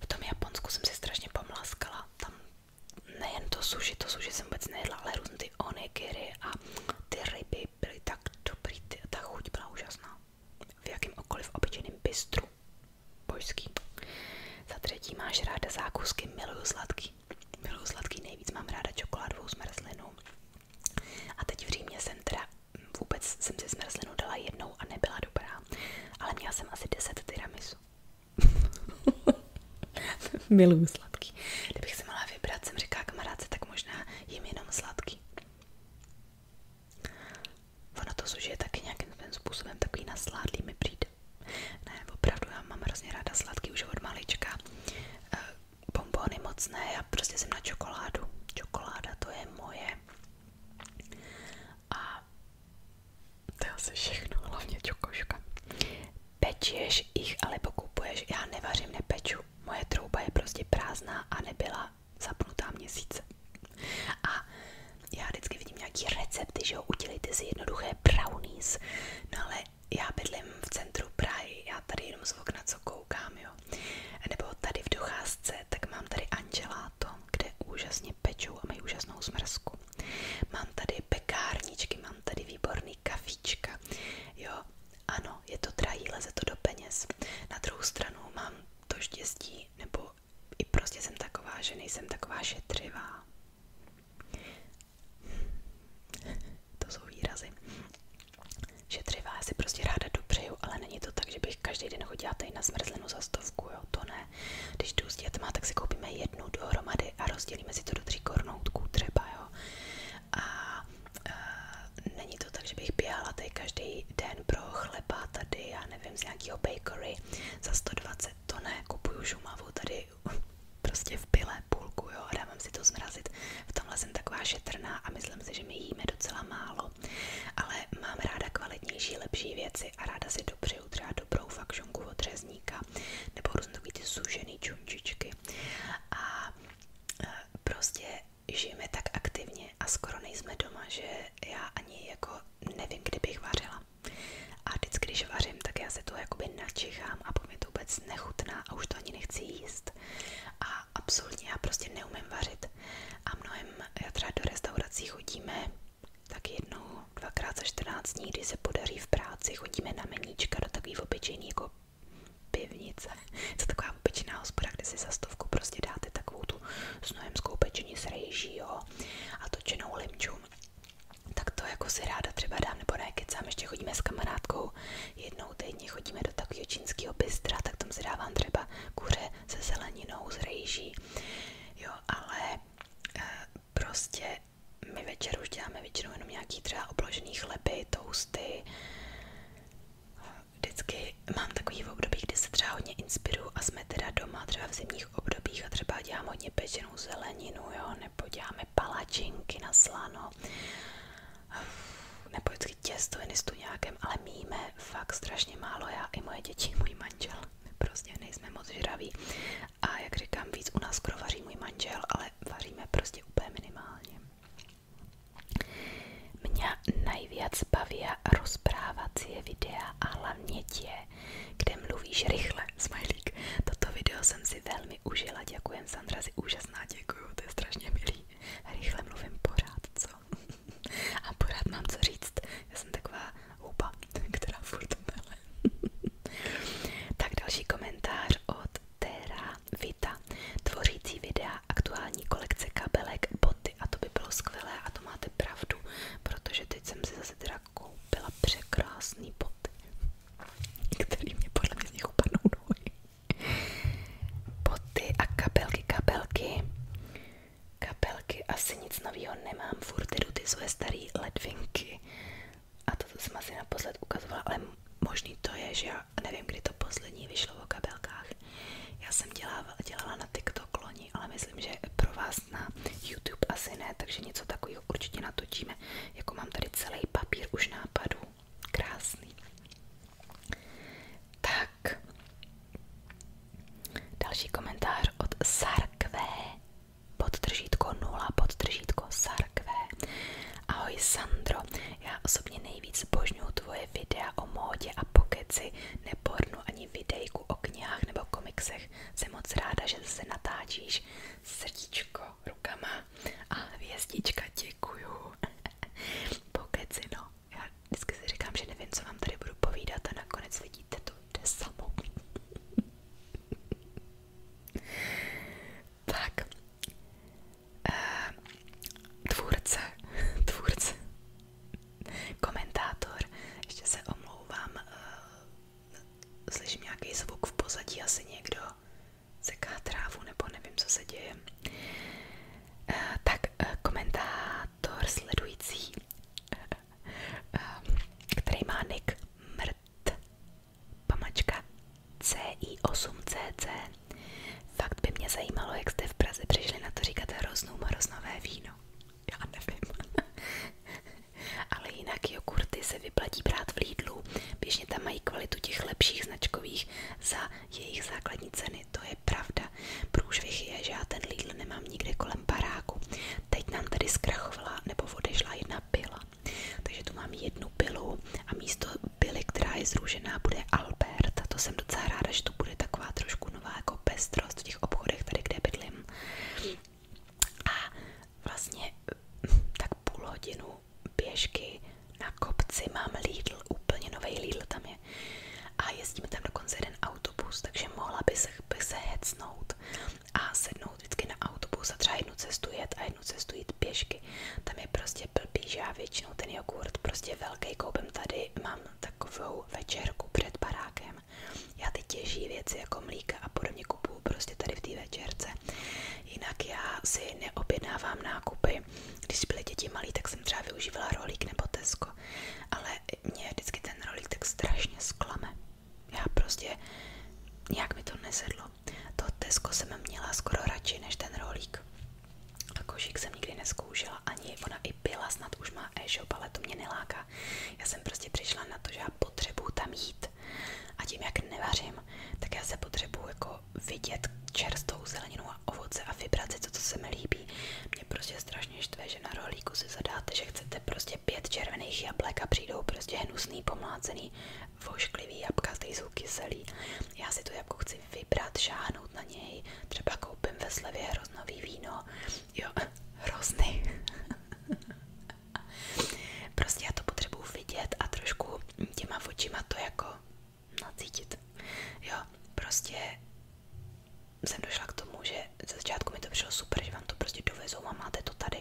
V tom Japonsku jsem si strašně pomláskala. Tam nejen to suši, to suši jsem vůbec nejedla, ale různé ty onigiry a ty ryby byly tak dobrý, ty, ta chuť byla úžasná. V jakýmkoliv obyčejným bistru. Božský. Za třetí máš ráda zákusky, miluju sladký. Miluju sladký nejvíc, mám ráda čokoládovou zmrzlinu. A teď v Římě jsem teda vůbec jsem si zmrzlinu dala jednou a nebyla dobrá, ale měla jsem asi 10 tiramisu. [laughs] Miluju sladký. Kdybych si mohla vybrat, jsem říkala kamarádce, tak možná jim jenom sladký. Ono to suži je taky nějakým způsobem takový nasládlý mi přijde. Ne, opravdu, já mám hrozně ráda sladký už od malička. Eh, Bombony moc ne, já prostě jsem na čokoládu. Čokoláda to je moje. A to je asi všechno, hlavně čokoška. Pečeš jich alebo kupuješ? Já nevařím, nepeču. Moje trouba je prostě prázdná a nebyla zapnutá měsíce. A já vždycky vidím nějaký recepty, že jo, si jednoduché brownies. No ale já bydlím v centru Prahy, já tady jenom z okna co koukám, jo. Nebo tady v docházce, tak mám tady Angela táto, kde úžasně pečou a mají úžasnou smrzku. Mám tady pekárničky, mám tady výborný kafička. Jo, ano, je to drahý, leze to do peněz. Na druhou stranu mám to štěstí, nebo i prostě jsem taková, že nejsem taková šetřivá. [laughs] To jsou výrazy. Šetřivá, já si prostě ráda dopřeju, ale není to tak, že bych bych každý den chodila tady na zmrzlinu za stovku, jo, to ne. Když jdu s dětma, tak si koupíme jednu dohromady a rozdělíme si to do tří kornoutků třeba, jo. A, a není to tak, že bych běhala tady každý den pro chleba tady, já nevím, z nějakého bakery za 120, to ne, kupuju šumavu tady [laughs] prostě v pile půlku, jo, a dávám si to zmrazit. V tomhle jsem taková šetrná a myslím si, že my jíme docela málo ale mám ráda kvalitnější, lepší věci a ráda si dopřeju třeba dobrou fakšonku od řezníka nebo různé takový ty sužený a e, prostě žijeme tak aktivně a skoro nejsme doma, že já ani jako nevím, kdy bych vařila. A vždycky, když vařím, tak já se to jakoby načichám a po mě to vůbec nechutná a už to ani nechci jíst. A absolutně já prostě neumím vařit. A mnohem, já třeba do restaurací chodíme tak jednou, dvakrát za 14 dní, kdy se podaří v práci, chodíme na meníčka do takový obyčejný jako pivnice. To taková obyčejná hospoda, kde si za stovku prostě dáte takovou tu snojemskou pečení s rejží, jo, a točenou limču. Tak to jako si ráda třeba dám, nebo ne, kecám, ještě chodíme s kamarádkou jednou týdně, chodíme do takového čínského bystra, tak tam si dávám třeba kuře se zeleninou, s rejží, jo, ale e, prostě my večer už děláme většinou jenom nějaký třeba obložený chleby, tousty. Vždycky mám takový období, kdy se třeba hodně inspiruju a jsme teda doma třeba v zimních obdobích a třeba dělám hodně pečenou zeleninu, jo, nebo děláme palačinky na slano. Nebo těch těstovinistů nějakém, ale my jíme fakt strašně málo, já i moje děti, můj manžel. Prostě nejsme moc žraví. A jak říkám, víc u nás skoro vaří můj manžel, ale vaříme prostě úplně minimálně. Mě nejvíc baví rozprávací videa a hlavně tě, kde mluvíš rychle, smajlík. Toto video jsem si velmi užila, děkujem Sandra, si úžasná, děkuju, to je strašně milý. Rychle mluvím pořád, co? A pořád mám co říct. Já jsem taková houba, která furt mele. tak další komentář od Tera Vita. Tvořící videa aktuální kolekce kabelek, boty a to by bylo skvělé a to máte pravdu, protože teď jsem si zase teda koupila překrásný boty, který mě podle mě z nich upadnou nohy. Boty a kabelky, kabelky. Kapelky asi nic nového nemám, furt jdu ty své staré ledvinky. A to, co jsem asi naposled ukazovala, ale možný to je, že já nevím, kdy to poslední vyšlo o kabelkách. Já jsem dělala, dělala na TikTok loni, ale myslím, že pro vás na YouTube asi ne, takže něco takového určitě natočíme. Jako mám tady celý papír už nápadů. Krásný. Tak. Další komentář od Sarkvé. Podtržítko 0, podtržítko Sarkvé. Ahoj Sandro, já osobně nejvíc božňuju tvoje videa o módě a pokeci, nepornu ani videjku o knihách nebo komiksech. Jsem moc ráda, že se natáčíš srdíčko rukama a hvězdička děkuju. [laughs] Pokeci no, já vždycky si říkám, že nevím, co vám tady budu povídat a nakonec vidíte to jde samo. tak, eh, tvůrce, tvůrce, komentátor, ještě se omlouvám, eh, slyším nějaký zvuk v pozadí, asi někdo seká trávu nebo nevím, co se děje. Eh, tak, eh, komentátor moderátor sledující, eh, eh, který má nick mrt, pamačka CI8CC. Fakt by mě zajímalo, jak jste v Praze přišli na to říkat hroznou moroznové víno. Já nevím. [laughs] Ale jinak jogurty se vyplatí brát v Lidlu. Běžně tam mají kvalitu těch lepších značkových za jejich základní ceny. To je pravda. Průšvih je, že já ten Lidl nemám nikde kolem baráku. Teď nám tady zkrachovala nebo odešla jedna pila. Takže tu mám jednu pilu a místo pily, která je zružená, bude Albert. A to jsem docela ráda, že tu bude taková trošku nová jako pestrost v těch obchodech tady, kde bydlím. A vlastně tak půl hodinu běžky na kopci mám Lidl, úplně nový Lidl tam je a jezdíme tam dokonce jeden autobus, takže mohla by se, by se hecnout a sednout vždycky na autobus a třeba jednu cestu jet a jednu cestu jít pěšky. Tam je prostě blbý, že já většinou ten jogurt prostě velký koupem tady, mám takovou večerku před barákem. Já ty těžší věci jako mlíka a podobně kupuju prostě tady v té večerce. Jinak já si neobjednávám nákupy. Když byly děti malí, tak jsem třeba využívala rolík nebo Tesco, ale mě vždycky ten rolík tak strašně sklame. Já prostě, nějak mi to nesedlo. To Tesco jsem měla skoro radši než ten rolík. A košík jsem nikdy neskoušela, ani ona i byla, snad už má e-shop, ale to mě neláká. Já jsem prostě přišla na to, že já potřebuju tam jít. A tím, jak nevařím, tak já se potřebuju jako vidět čerstvou zeleninu a ovoce a vybrat si to, co se mi líbí mě prostě strašně štve, že na rohlíku si zadáte, že chcete prostě pět červených jablek a přijdou prostě hnusný, pomlácený, vošklivý jabka, ty jsou kyselý. Já si tu jabku chci vybrat, šáhnout na něj, třeba koupím ve slevě hroznový víno, jo, [laughs] hrozný. [laughs] prostě já to potřebuju vidět a trošku těma očima to jako nacítit, jo, prostě jsem došla k tomu, že ze začátku mi to přišlo super, že vám to prostě dovezou a máte to tady.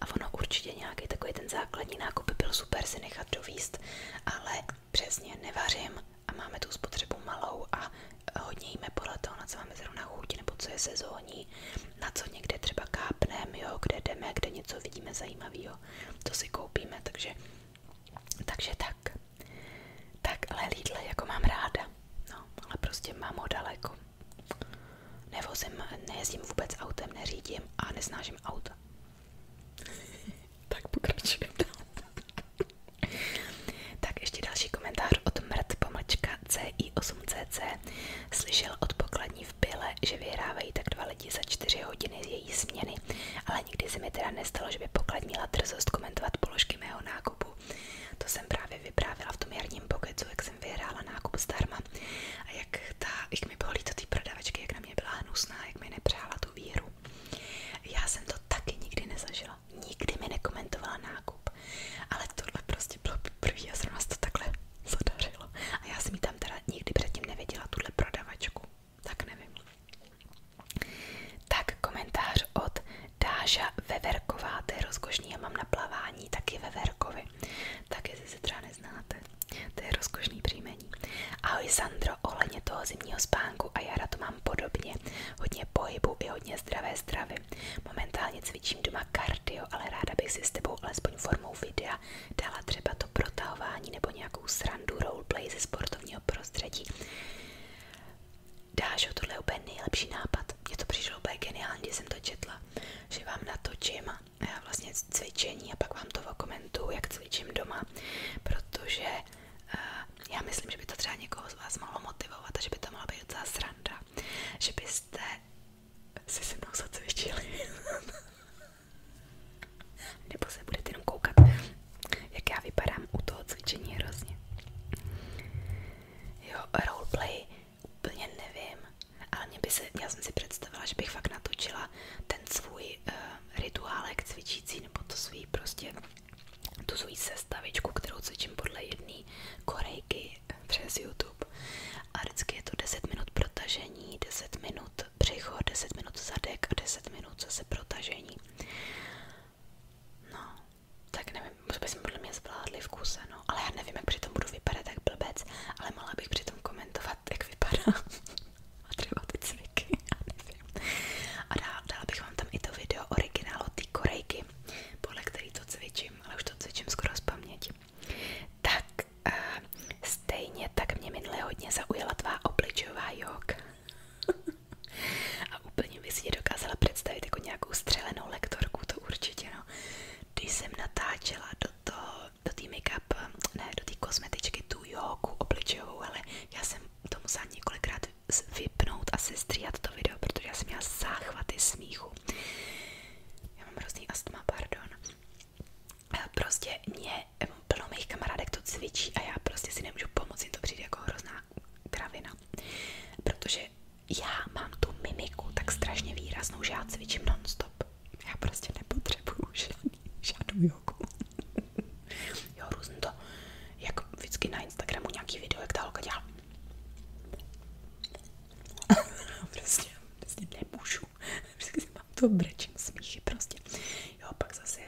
A ono určitě nějaký takový ten základní nákup byl super si nechat dovíst, ale přesně nevařím a máme tu spotřebu malou a hodně jíme podle toho, na co máme zrovna chuť nebo co je sezónní, na co někde třeba kápneme, kde jdeme, kde něco vidíme zajímavého, to si koupíme, takže takže tak. Tak, ale Lidl jako mám ráda. No, ale prostě mám ho daleko. Nevozím, nejezdím vůbec autem, neřídím a nesnážím auta. [laughs] tak pokračujeme [laughs] Tak ještě další komentář od mrt pomlčka CI8CC. Slyšel od pokladní v Bile, že vyhrávají tak dva lidi za čtyři hodiny z její směny, ale nikdy se mi teda nestalo, že by pokladní drzost komentovat položky značky mého nákupu. To jsem právě vyprávila v tom jarním pokecu, jak jsem vyhrála nákup zdarma a jak, ta, jak mi bylo líto ty prodavačky, jak na mě byla hnusná, jak mi nepřála tu víru. Já jsem to taky nikdy nezažila, nikdy mi nekomentovala nákup, ale tohle prostě bylo první a zrovna se to takhle zadařilo. A já jsem mi tam teda nikdy předtím nevěděla, tuhle prodavačku, tak nevím. Tak komentář od Dáša Veverková, to je rozkošný, já mám na plavání taky Veverkovi, tak jestli se třeba neznáte, to je rozkošný příjmení. Ahoj Sandro, ohledně toho zimního spánku a jara to mám podobně, hodně pohybu i hodně zdravé stravy. Momentálně cvičím doma kardio, ale ráda bych si s tebou alespoň formou videa dala třeba to protahování nebo nějakou srandu roleplay ze sportovního prostředí dáš ho, tohle je úplně nejlepší nápad. Mně to přišlo úplně geniální, když jsem to četla, že vám natočím vlastně cvičení a pak vám to komentu jak cvičím doma, protože uh, já myslím, že by to třeba někoho z vás mohlo motivovat a že by to mohla být docela sranda, že byste si se mnou zacvičili. [laughs] Nebo se budete jenom koukat jak já vypadám u toho cvičení hrozně. Jo, roleplay úplně nevím, ale mě by se, já jsem si představila, že bych fakt natočila ten svůj uh, rituálek cvičící, nebo to svůj prostě, tu svůj sestavičku, kterou cvičím podle jedné korejky přes YouTube. A vždycky je to 10 minut protažení, 10 minut břicho, 10 minut zadek a 10 minut zase protažení. No, tak nevím, to bychom podle mě zvládli v kuse, no. Ale já nevím, jak přitom budu vypadat tak blbec, ale mohla bych přitom komentovat, jak vypadá [laughs] a třeba ty cviky, já nevím. A dala, dala bych vám tam i to video originálu té korejky, podle který to cvičím, ale už to cvičím skoro z paměti. Tak uh, stejně tak mě minule hodně zaujala tvá obličová jog. [laughs] a úplně bych dokázala představit jako nějakou střelenou lektorku, to určitě no. Když jsem natáčela do toho, do té make-up, ne, do té kosmetičky, tu jogu ale já jsem to musela několikrát vypnout a sestříhat to video, protože jsem měla záchvaty smíchu. Já mám hrozný astma, pardon. Prostě mě plno mých kamarádek to cvičí a já prostě si nemůžu pomoct, jim to přijde jako hrozná kravina. Protože já mám tu mimiku tak strašně výraznou, že já cvičím non-stop. Já prostě nepotřebuju žádný, žádnou jogu. jo, různě to, jak vždycky na Instagramu nějaký video, jak ta holka dělá. [laughs] prostě, prostě nemůžu. Vždycky mám to brečím smíchy prostě. Jo, pak zase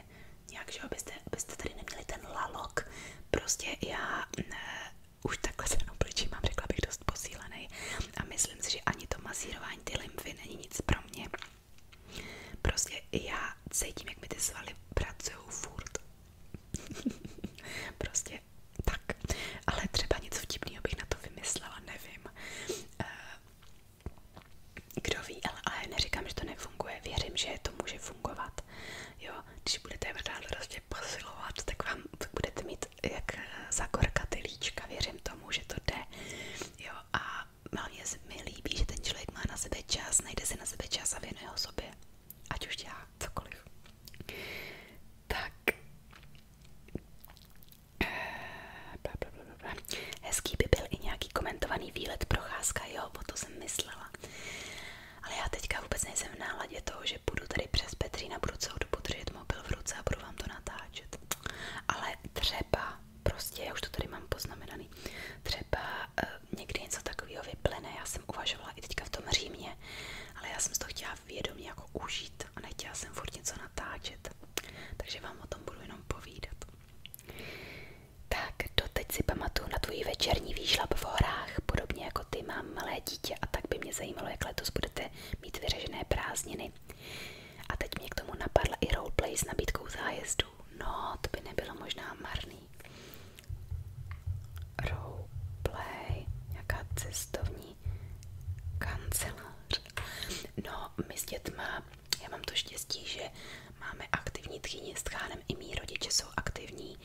nějak, že abyste, abyste tady neměli ten lalok. Prostě já ne, mm, eh, už takhle se obličím mám, řekla bych, dost posílený a myslím si, že ani to masírování ty lymfy není nic pro mě. Prostě já cítím, jak mi ty svaly pracují furt. [laughs] prostě tak. Ale třeba něco vtipného bych na to vymyslela, nevím. Eh, kdo ví, ale, ale neříkám, že to nefunguje. Věřím, že to může fungovat jo, když budete dál prostě posilovat, tak vám budete mít jak eh, zakorkat líčka, věřím tomu, že to jde, jo, a hlavně se mi líbí, že ten člověk má na sebe čas, najde si na sebe čas a věnuje ho sobě, ať už dělá cokoliv. Tak. Hezký by byl i nějaký komentovaný výlet, procházka, jo, o to jsem myslela ale já teďka vůbec nejsem v náladě toho, že budu tady přes Petřína, budu celou dobu držet mobil v ruce a budu vám to natáčet. Ale třeba, prostě, já už to tady mám poznamenaný, třeba eh, někdy něco takového vyplene. já jsem uvažovala i teďka v tom Římě, ale já jsem si to chtěla vědomě jako užít a nechtěla jsem furt něco natáčet. Takže vám o tom budu jenom povídat. Tak teď si pamatuju na tvůj večerní výšlap v horách, podobně jako ty mám malé dítě a tak by mě zajímalo, jak letos budete mít vyřežené prázdniny. A teď mě k tomu napadla i roleplay s nabídkou zájezdu. No, to by nebylo možná marný. Roleplay, jaká cestovní kancelář. No, my s dětma, já mám to štěstí, že Máme aktivní tchýně s tchánem, i mý rodiče jsou aktivní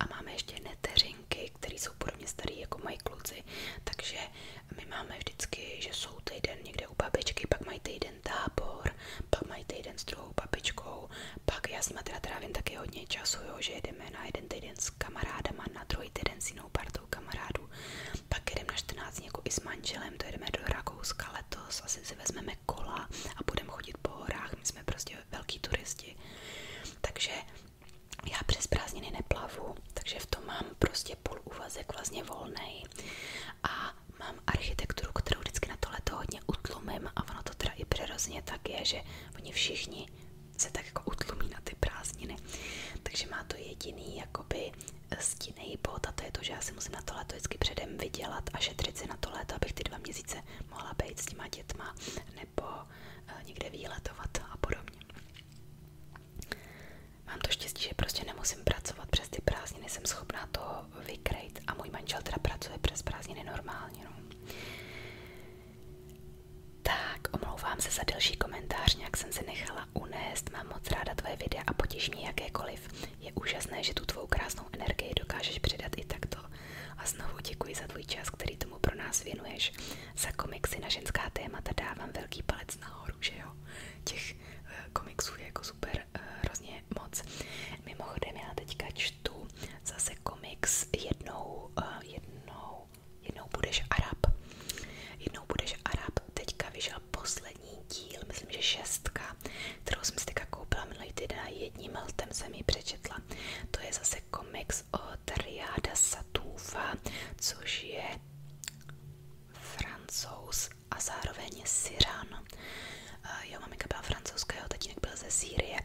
a máme ještě neteřinky, které jsou podobně staré jako mají kluci, takže my máme vždycky, že jsou týden někde u babičky, pak mají týden tábor, pak mají týden s druhou babičkou, pak já s nima trávím taky hodně času, jo, že jedeme na jeden týden s kamarádama, na druhý týden s jinou partou kamarádů, pak jedeme na 14 dní jako i s manželem, to jedeme do Rakouska letos, asi si vezmeme kola a budeme chodit po horách, my jsme prostě prostě velký turisti. Takže já přes prázdniny neplavu, takže v tom mám prostě půl úvazek vlastně volnej. A mám architekturu, kterou vždycky na to leto hodně utlumím a ono to teda i přirozeně tak je, že oni všichni se tak jako utlumí na ty prázdniny. Takže má to jediný jakoby stínej bod a to je to, že já si musím na to leto vždycky předem vydělat a šetřit si na to leto, abych ty dva měsíce mohla být s těma dětma nebo eh, někde výletovat a podobně. Mám to štěstí, že prostě nemusím pracovat přes ty prázdniny, jsem schopná to vykrejt a můj manžel teda pracuje přes prázdniny normálně. No. Tak, omlouvám se za delší komentář, nějak jsem se nechala unést, mám moc ráda tvoje videa a potěší mě jakékoliv. Je úžasné, že tu tvou krásnou energii dokážeš předat i takto. A znovu děkuji za tvůj čas, který tomu pro nás věnuješ. Za komiksy na ženská témata dávám velký palec nahoru, že jo? Těch eh, komiksů je jako super eh, hrozně moc. Mimochodem, já teďka čtu zase komiks jednou, eh, jednou, jednou budeš Arab. Jednou budeš Arab, teďka vyšel poslední díl, myslím, že šestka kterou jsem si teďka koupila minulý týden a jedním ltem jsem ji přečetla. To je zase komiks od Riada Satoufa, což je francouz a zároveň Syran. Eh, jeho maminka byla francouzská, jeho tatínek byl ze Sýrie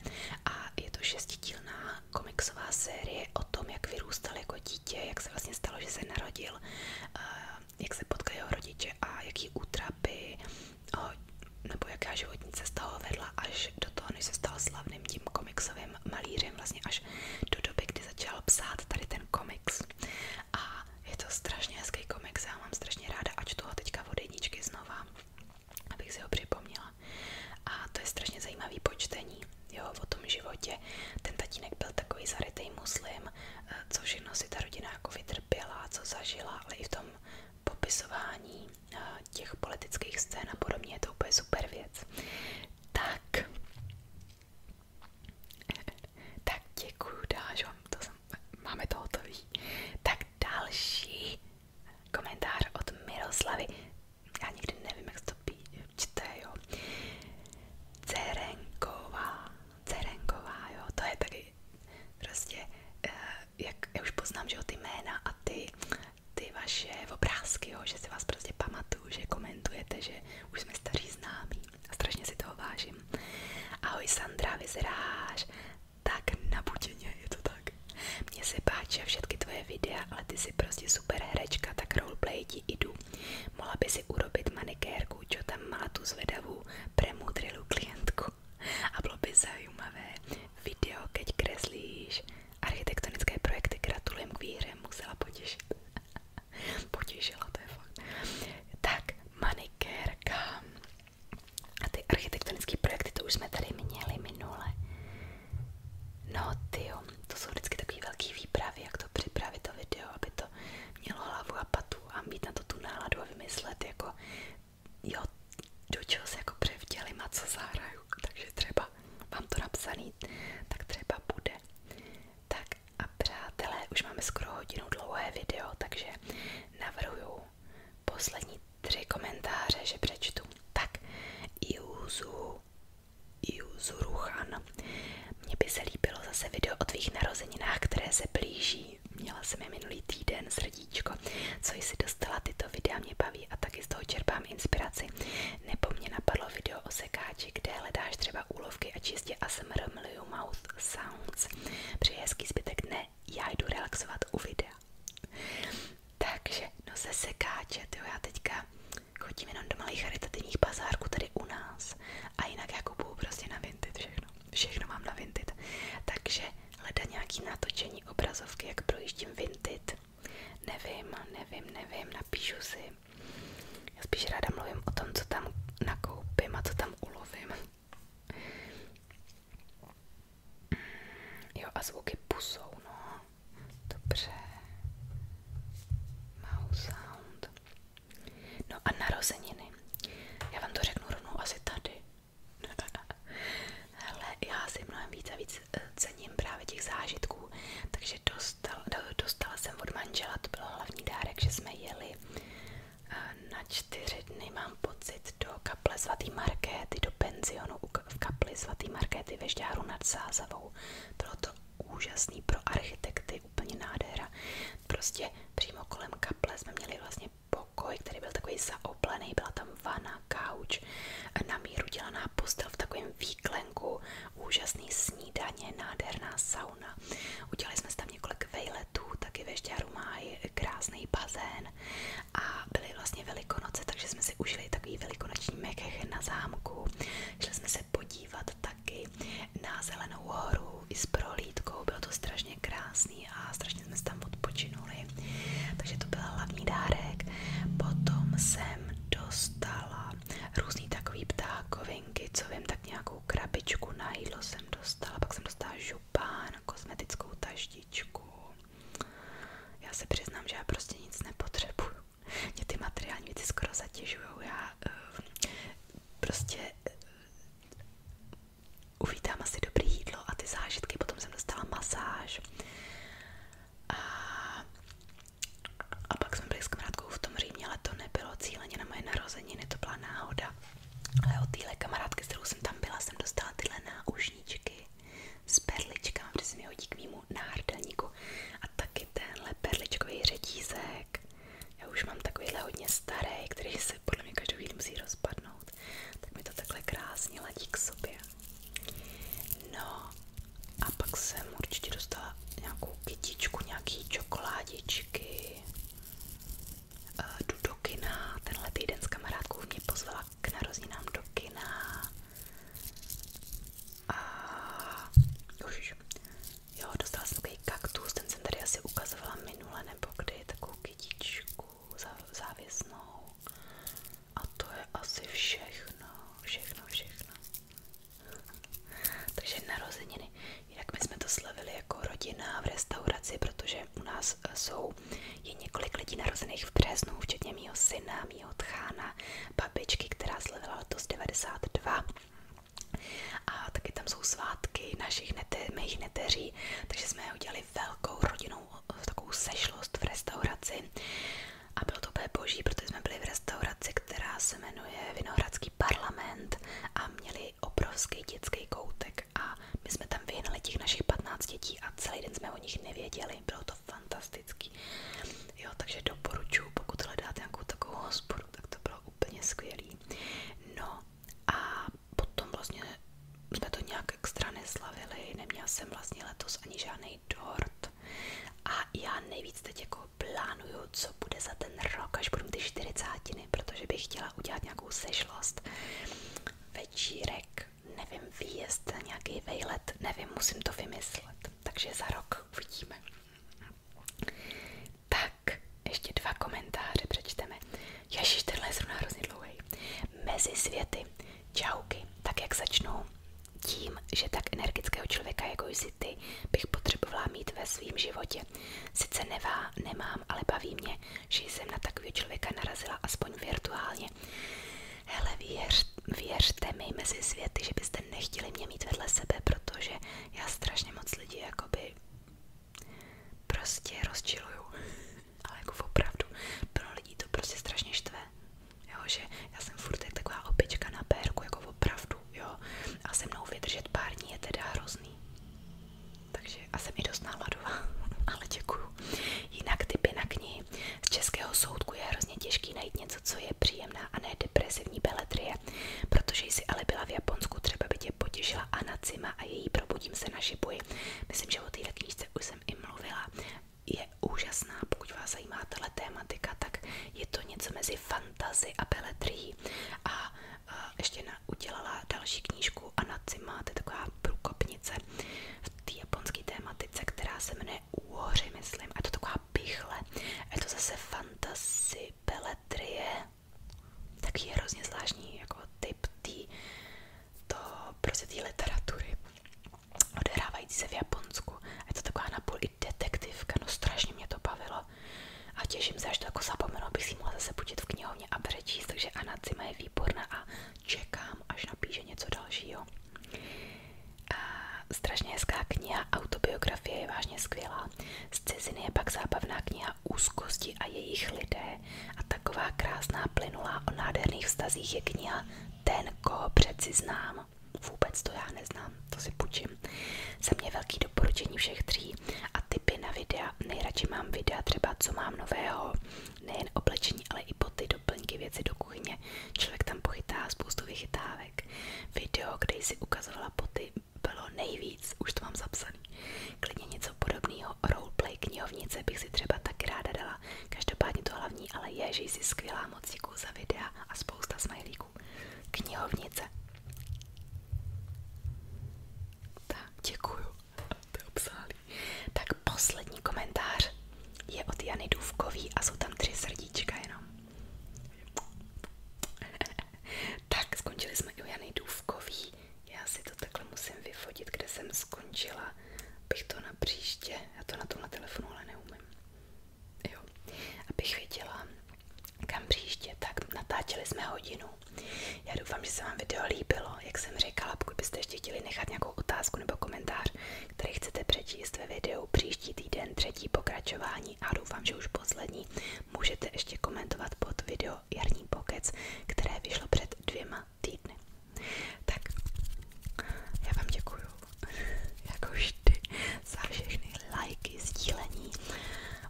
a je to šestidílná komiksová série o tom, jak vyrůstal jako dítě, jak se vlastně stalo, že se narodil, eh, jak se potkali jeho rodiče a jaký útrapy ho, nebo jaká životní cesta ho vedla až do toho, než se stal slavným tím komiksovým malířem, vlastně až do doby, kdy začal psát tady ten komiks. A je to strašně hezký komiks, já mám strašně ráda a čtu ho teďka od jedničky znova, abych si ho připomněla. A to je strašně zajímavý počtení, jo, o tom životě. Ten tatínek byl takový zarytej muslim, eh, co všechno si ta rodina jako vytrpěla, co zažila, ale i v tom popisování eh, těch politických scén a podobně, je to úplně super věc. Tak, [laughs] tak děkuju, Dážo, to jsem, máme to hotový. Tak další komentář od Miroslavy. Já nikdy nevím, jak to pí, čte, jo. Cerenková, Cerenková, jo, to je taky prostě eh, jak já už poznám, že jo, ty jména a ty, ty vaše obrázky, jo, že si vás prostě pamatuju, že komentujete, že už jsme staří známí a strašně si toho vážím. Ahoj Sandra, vyzeráš tak na nabuděně, je to tak. Mně se páčí všechny tvoje videa, ale ty jsi prostě super herečka, tak roleplay ti jdu. Mohla by si urobit manikérku, čo tam má tu zvedavou premudrilou klientku a bylo by zajímavé video, keď kreslíš architektonické projekty. Gratulujem k výhře, musela potěšit. [laughs] Potěšila, to je fakt. Tak, manikérka. A ty architektonické projekty, to už jsme tady měli minule. No ty to jsou vždycky takový velký výpravy, jak to připravit to video, aby to mělo hlavu a patu a mít na to tu náladu a vymyslet jako jo, do čeho se jako převdělím a co zahraju, takže třeba mám to napsaný, tak třeba bude. Tak a přátelé, už máme skoro hodinu dlouhé video, takže navrhuju poslední tři komentáře, že přečtu. Tak, i i Juzu Ruchan. Mně by se líbilo zase video o tvých narozeninách, které se blíží. Měla jsem je minulý týden srdíčko, co jsi dostala, tyto videa mě baví a taky z toho čerpám inspiraci. Nebo mě napadlo video o sekáči, kde hledáš třeba úlovky a čistě ASMR Mliu Mouth Sounds. Přeji hezký zbytek dne, já jdu relaxovat u videa. Takže, no se sekáče, tyjo, já teďka chodím jenom do malých charitativních bazárků tady u nás a jinak já jako kupuju prostě na vintage všechno všechno mám na Vinted. Takže hledá nějaký natočení obrazovky, jak projíždím Vinted. Nevím, nevím, nevím, napíšu si. Já spíš ráda mluvím o tom, co tam nakoupím a co tam ulovím. Jo, a zvuky pusou, no. Dobře. Mouse sound. No a narozeniny. Já vám to řeknu rovnou asi tady. Hele, já si mnohem víc a víc eh, cením právě těch zážitků, takže dostal, dostala jsem od manžela, to byl hlavní dárek, že jsme jeli eh, na čtyři dny, mám pocit, do kaple svatý Markéty, do penzionu v kapli svatý Markéty ve Žďáru nad Sázavou. Bylo to úžasný pro architekty, úplně nádhera. Prostě přímo kolem kaple jsme měli vlastně pokoj, který byl takový zaoplený, byla tam vana, kauč, na míru dělaná postel v takovém výklenku, úžasný snídaně, nádherná sauna. Udělali jsme tam několik vejletů, taky ve Šťáru má krásný bazén a byly vlastně velikonoce, takže jsme si užili takový velikonoční mekech na zámku. Šli jsme se podívat taky na Zelenou horu i s prohlídkou, bylo to strašně krásný krásný a strašně jsme se tam odpočinuli. Takže to byl hlavní dárek. Potom jsem dostala různý takový ptákovinky, co vím, tak nějakou krabičku na jídlo jsem dostala, pak jsem dostala župán, kosmetickou taštičku. Já se přiznám, že já prostě nic nepotřebuju. Mě ty materiální věci skoro zatěžují. Já uh, prostě eh, uvítám asi dobré jídlo a ty zážitky. Potom jsem dostala masáž. A, a pak jsme byli s v tom Římě, ale to nebylo cíleně na moje narozeniny, to byla náhoda. Ale od téhle kamarádky, kterou jsem tam byla, jsem dostala tyhle náušničky s perličkami, protože jsem je hodí k mýmu náhrdelníku. A taky tenhle perličkový řetízek. Já už mám takovýhle hodně starý, který se podle mě každou chvíli musí rozpadnout dělat, tak mi to takhle krásně ladí k sobě. No a pak jsem určitě dostala nějakou kytičku, nějaký čokoládičky eh, jdu do kina, tenhle týden s kamarádkou mě pozvala k narozeninám do kina a už, jo, dostala jsem takový kaktus, ten jsem tady asi ukazovala minule nebo kdy, takovou kytičku závěsnou. A to je asi všechno, všechno, všechno. Takže narozeniny. Jinak my jsme to slavili jako rodina v restauraci, protože u nás eh, jsou je několik lidí narozených v březnu, včetně mýho syna, mýho tchána, babičky, která slavila letos 92. A taky tam jsou svátky našich nete, mých takže jsme udělali velkou rodinnou v eh, takovou sešlost v restauraci a bylo to úplně boží, protože jsme byli v restauraci, která se jmenuje Vinohradský parlament a měli obrovský dětský koutek a my jsme tam vyhnali těch našich 15 dětí a celý den jsme o nich nevěděli, bylo to fantastický. Jo, takže doporučuji, pokud hledáte nějakou takovou hospodu, tak to bylo úplně skvělý. No a potom vlastně jsme to nějak extra neslavili, neměla jsem vlastně letos ani žádný dort a já nejvíc teď jako plánuju, co bude za ten rok, až budu ty čtyřicátiny, protože bych chtěla udělat nějakou sešlost, večírek, nevím, výjezd, nějaký vejlet, nevím, musím to vymyslet, takže za rok uvidíme. Tak, ještě dva komentáře přečteme. Ježiš, tenhle je zrovna hrozně dlouhý mezi světy, čauky, tak jak začnou, tím, že tak energického člověka, jako jsi ty, bych potřebovala mít ve svém životě. Sice nevá, nemám, ale baví mě, že jsem na takového člověka narazila aspoň virtuálně. Hele, věř, věřte mi mezi světy, že byste nechtěli mě mít vedle sebe, protože já strašně moc lidí jakoby prostě rozčiluju. [laughs] ale jako opravdu, pro lidí to prostě strašně štve, jo, já jsem furt taková opička na pérku, jako opravdu, jo, a se mnou vydržet pár je teda hrozný, takže a jsem i dost náladová, [laughs] ale děkuju. Jinak typy na Z českého soudku je hrozně těžký najít něco, co je příjemná a ne depresivní beletrie, protože jsi ale byla v Japonsku, třeba by tě potěšila Anacima a její Probudím se na šipuji. Myslím, že o téhle 2000 už jsem i mluvila, je úžasná, pokud vás zajímá tato tématika, tak je to něco mezi fantazy a beletrií a, a ještě na, udělala další knížku Anacima, to je taková průkopnice v té japonské tématice, která se jmenuje Úhoři, myslím, a je to taková pichle, a je to zase fantasy, beletrie, tak je hrozně zvláštní jako typ té to prostě té literatury odehrávající se v Japonsku. Je to taková napůl i detektivka, no strašně mě to bavilo. A těším se, až to jako zapomenu, abych si mohla zase počít v knihovně a přečíst, takže Anna Cima je výborná a čekám, až napíše něco dalšího. A strašně hezká kniha, autobiografie je vážně skvělá. Z ciziny je pak zábavná kniha Úzkosti a jejich lidé a taková krásná plynulá o nádherných vztazích je kniha Ten, koho přeci znám. Vůbec to já neznám, to si půjčím. Za mě velký doporučení všech tří a typy na videa. Nejradši mám videa třeba, co mám nového, nejen oblečení, ale i boty, doplňky, věci do kuchyně. Člověk tam pochytá spoustu vychytávek. Video, kde jsi ukazovala boty, bylo nejvíc, už to mám zapsané. Klidně něco podobného o roleplay knihovnice bych si třeba taky ráda dala. Každopádně to hlavní, ale je, že jsi skvělá moc děkuju za videa a spousta smajlíků. Knihovnice. Tak, děkuju. To je obsálý. Tak poslední komentář je od Jany Důvkový a jsou tam tři srdíčka jenom. [laughs] tak, skončili jsme i u Jany Důvkový. Já si to takhle musím vyfotit, kde jsem skončila. abych to na příště, já to na tom na telefonu ale neumím. Jo, abych viděla, kam příště. Tak natáčeli jsme hodinu. Já doufám, že se vám video líbilo. Jak jsem řekla, pokud byste ještě chtěli nechat nějakou otázku nebo komentář, který chcete přečíst ve videu příští týden, třetí pokračování a doufám, že už poslední, můžete ještě komentovat pod video Jarní pokec, které vyšlo před dvěma týdny. Tak, já vám děkuju, jako vždy, za všechny lajky, sdílení,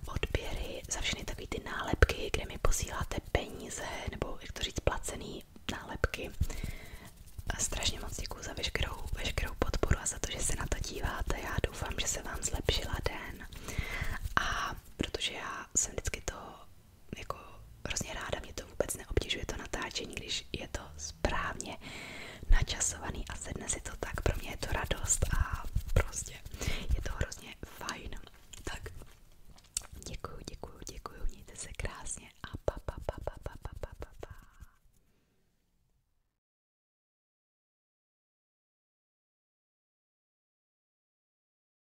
odběry, za všechny takové ty nálepky, kde mi posíláte peníze, nebo jak to říct, placený nálepky. A strašně moc děkuju za veškerou, veškerou podporu a za to, že se na to díváte. Já doufám, že se vám zlepšila den. A protože já jsem vždycky to jako hrozně ráda, mě to vůbec neobtěžuje to natáčení, když je to správně načasovaný a sedne si to tak, pro mě je to radost a prostě je to hrozně fajn. Tak děkuju, děkuju, děkuju, mějte se krásně a pa pa pa pa pa pa pa pa pa.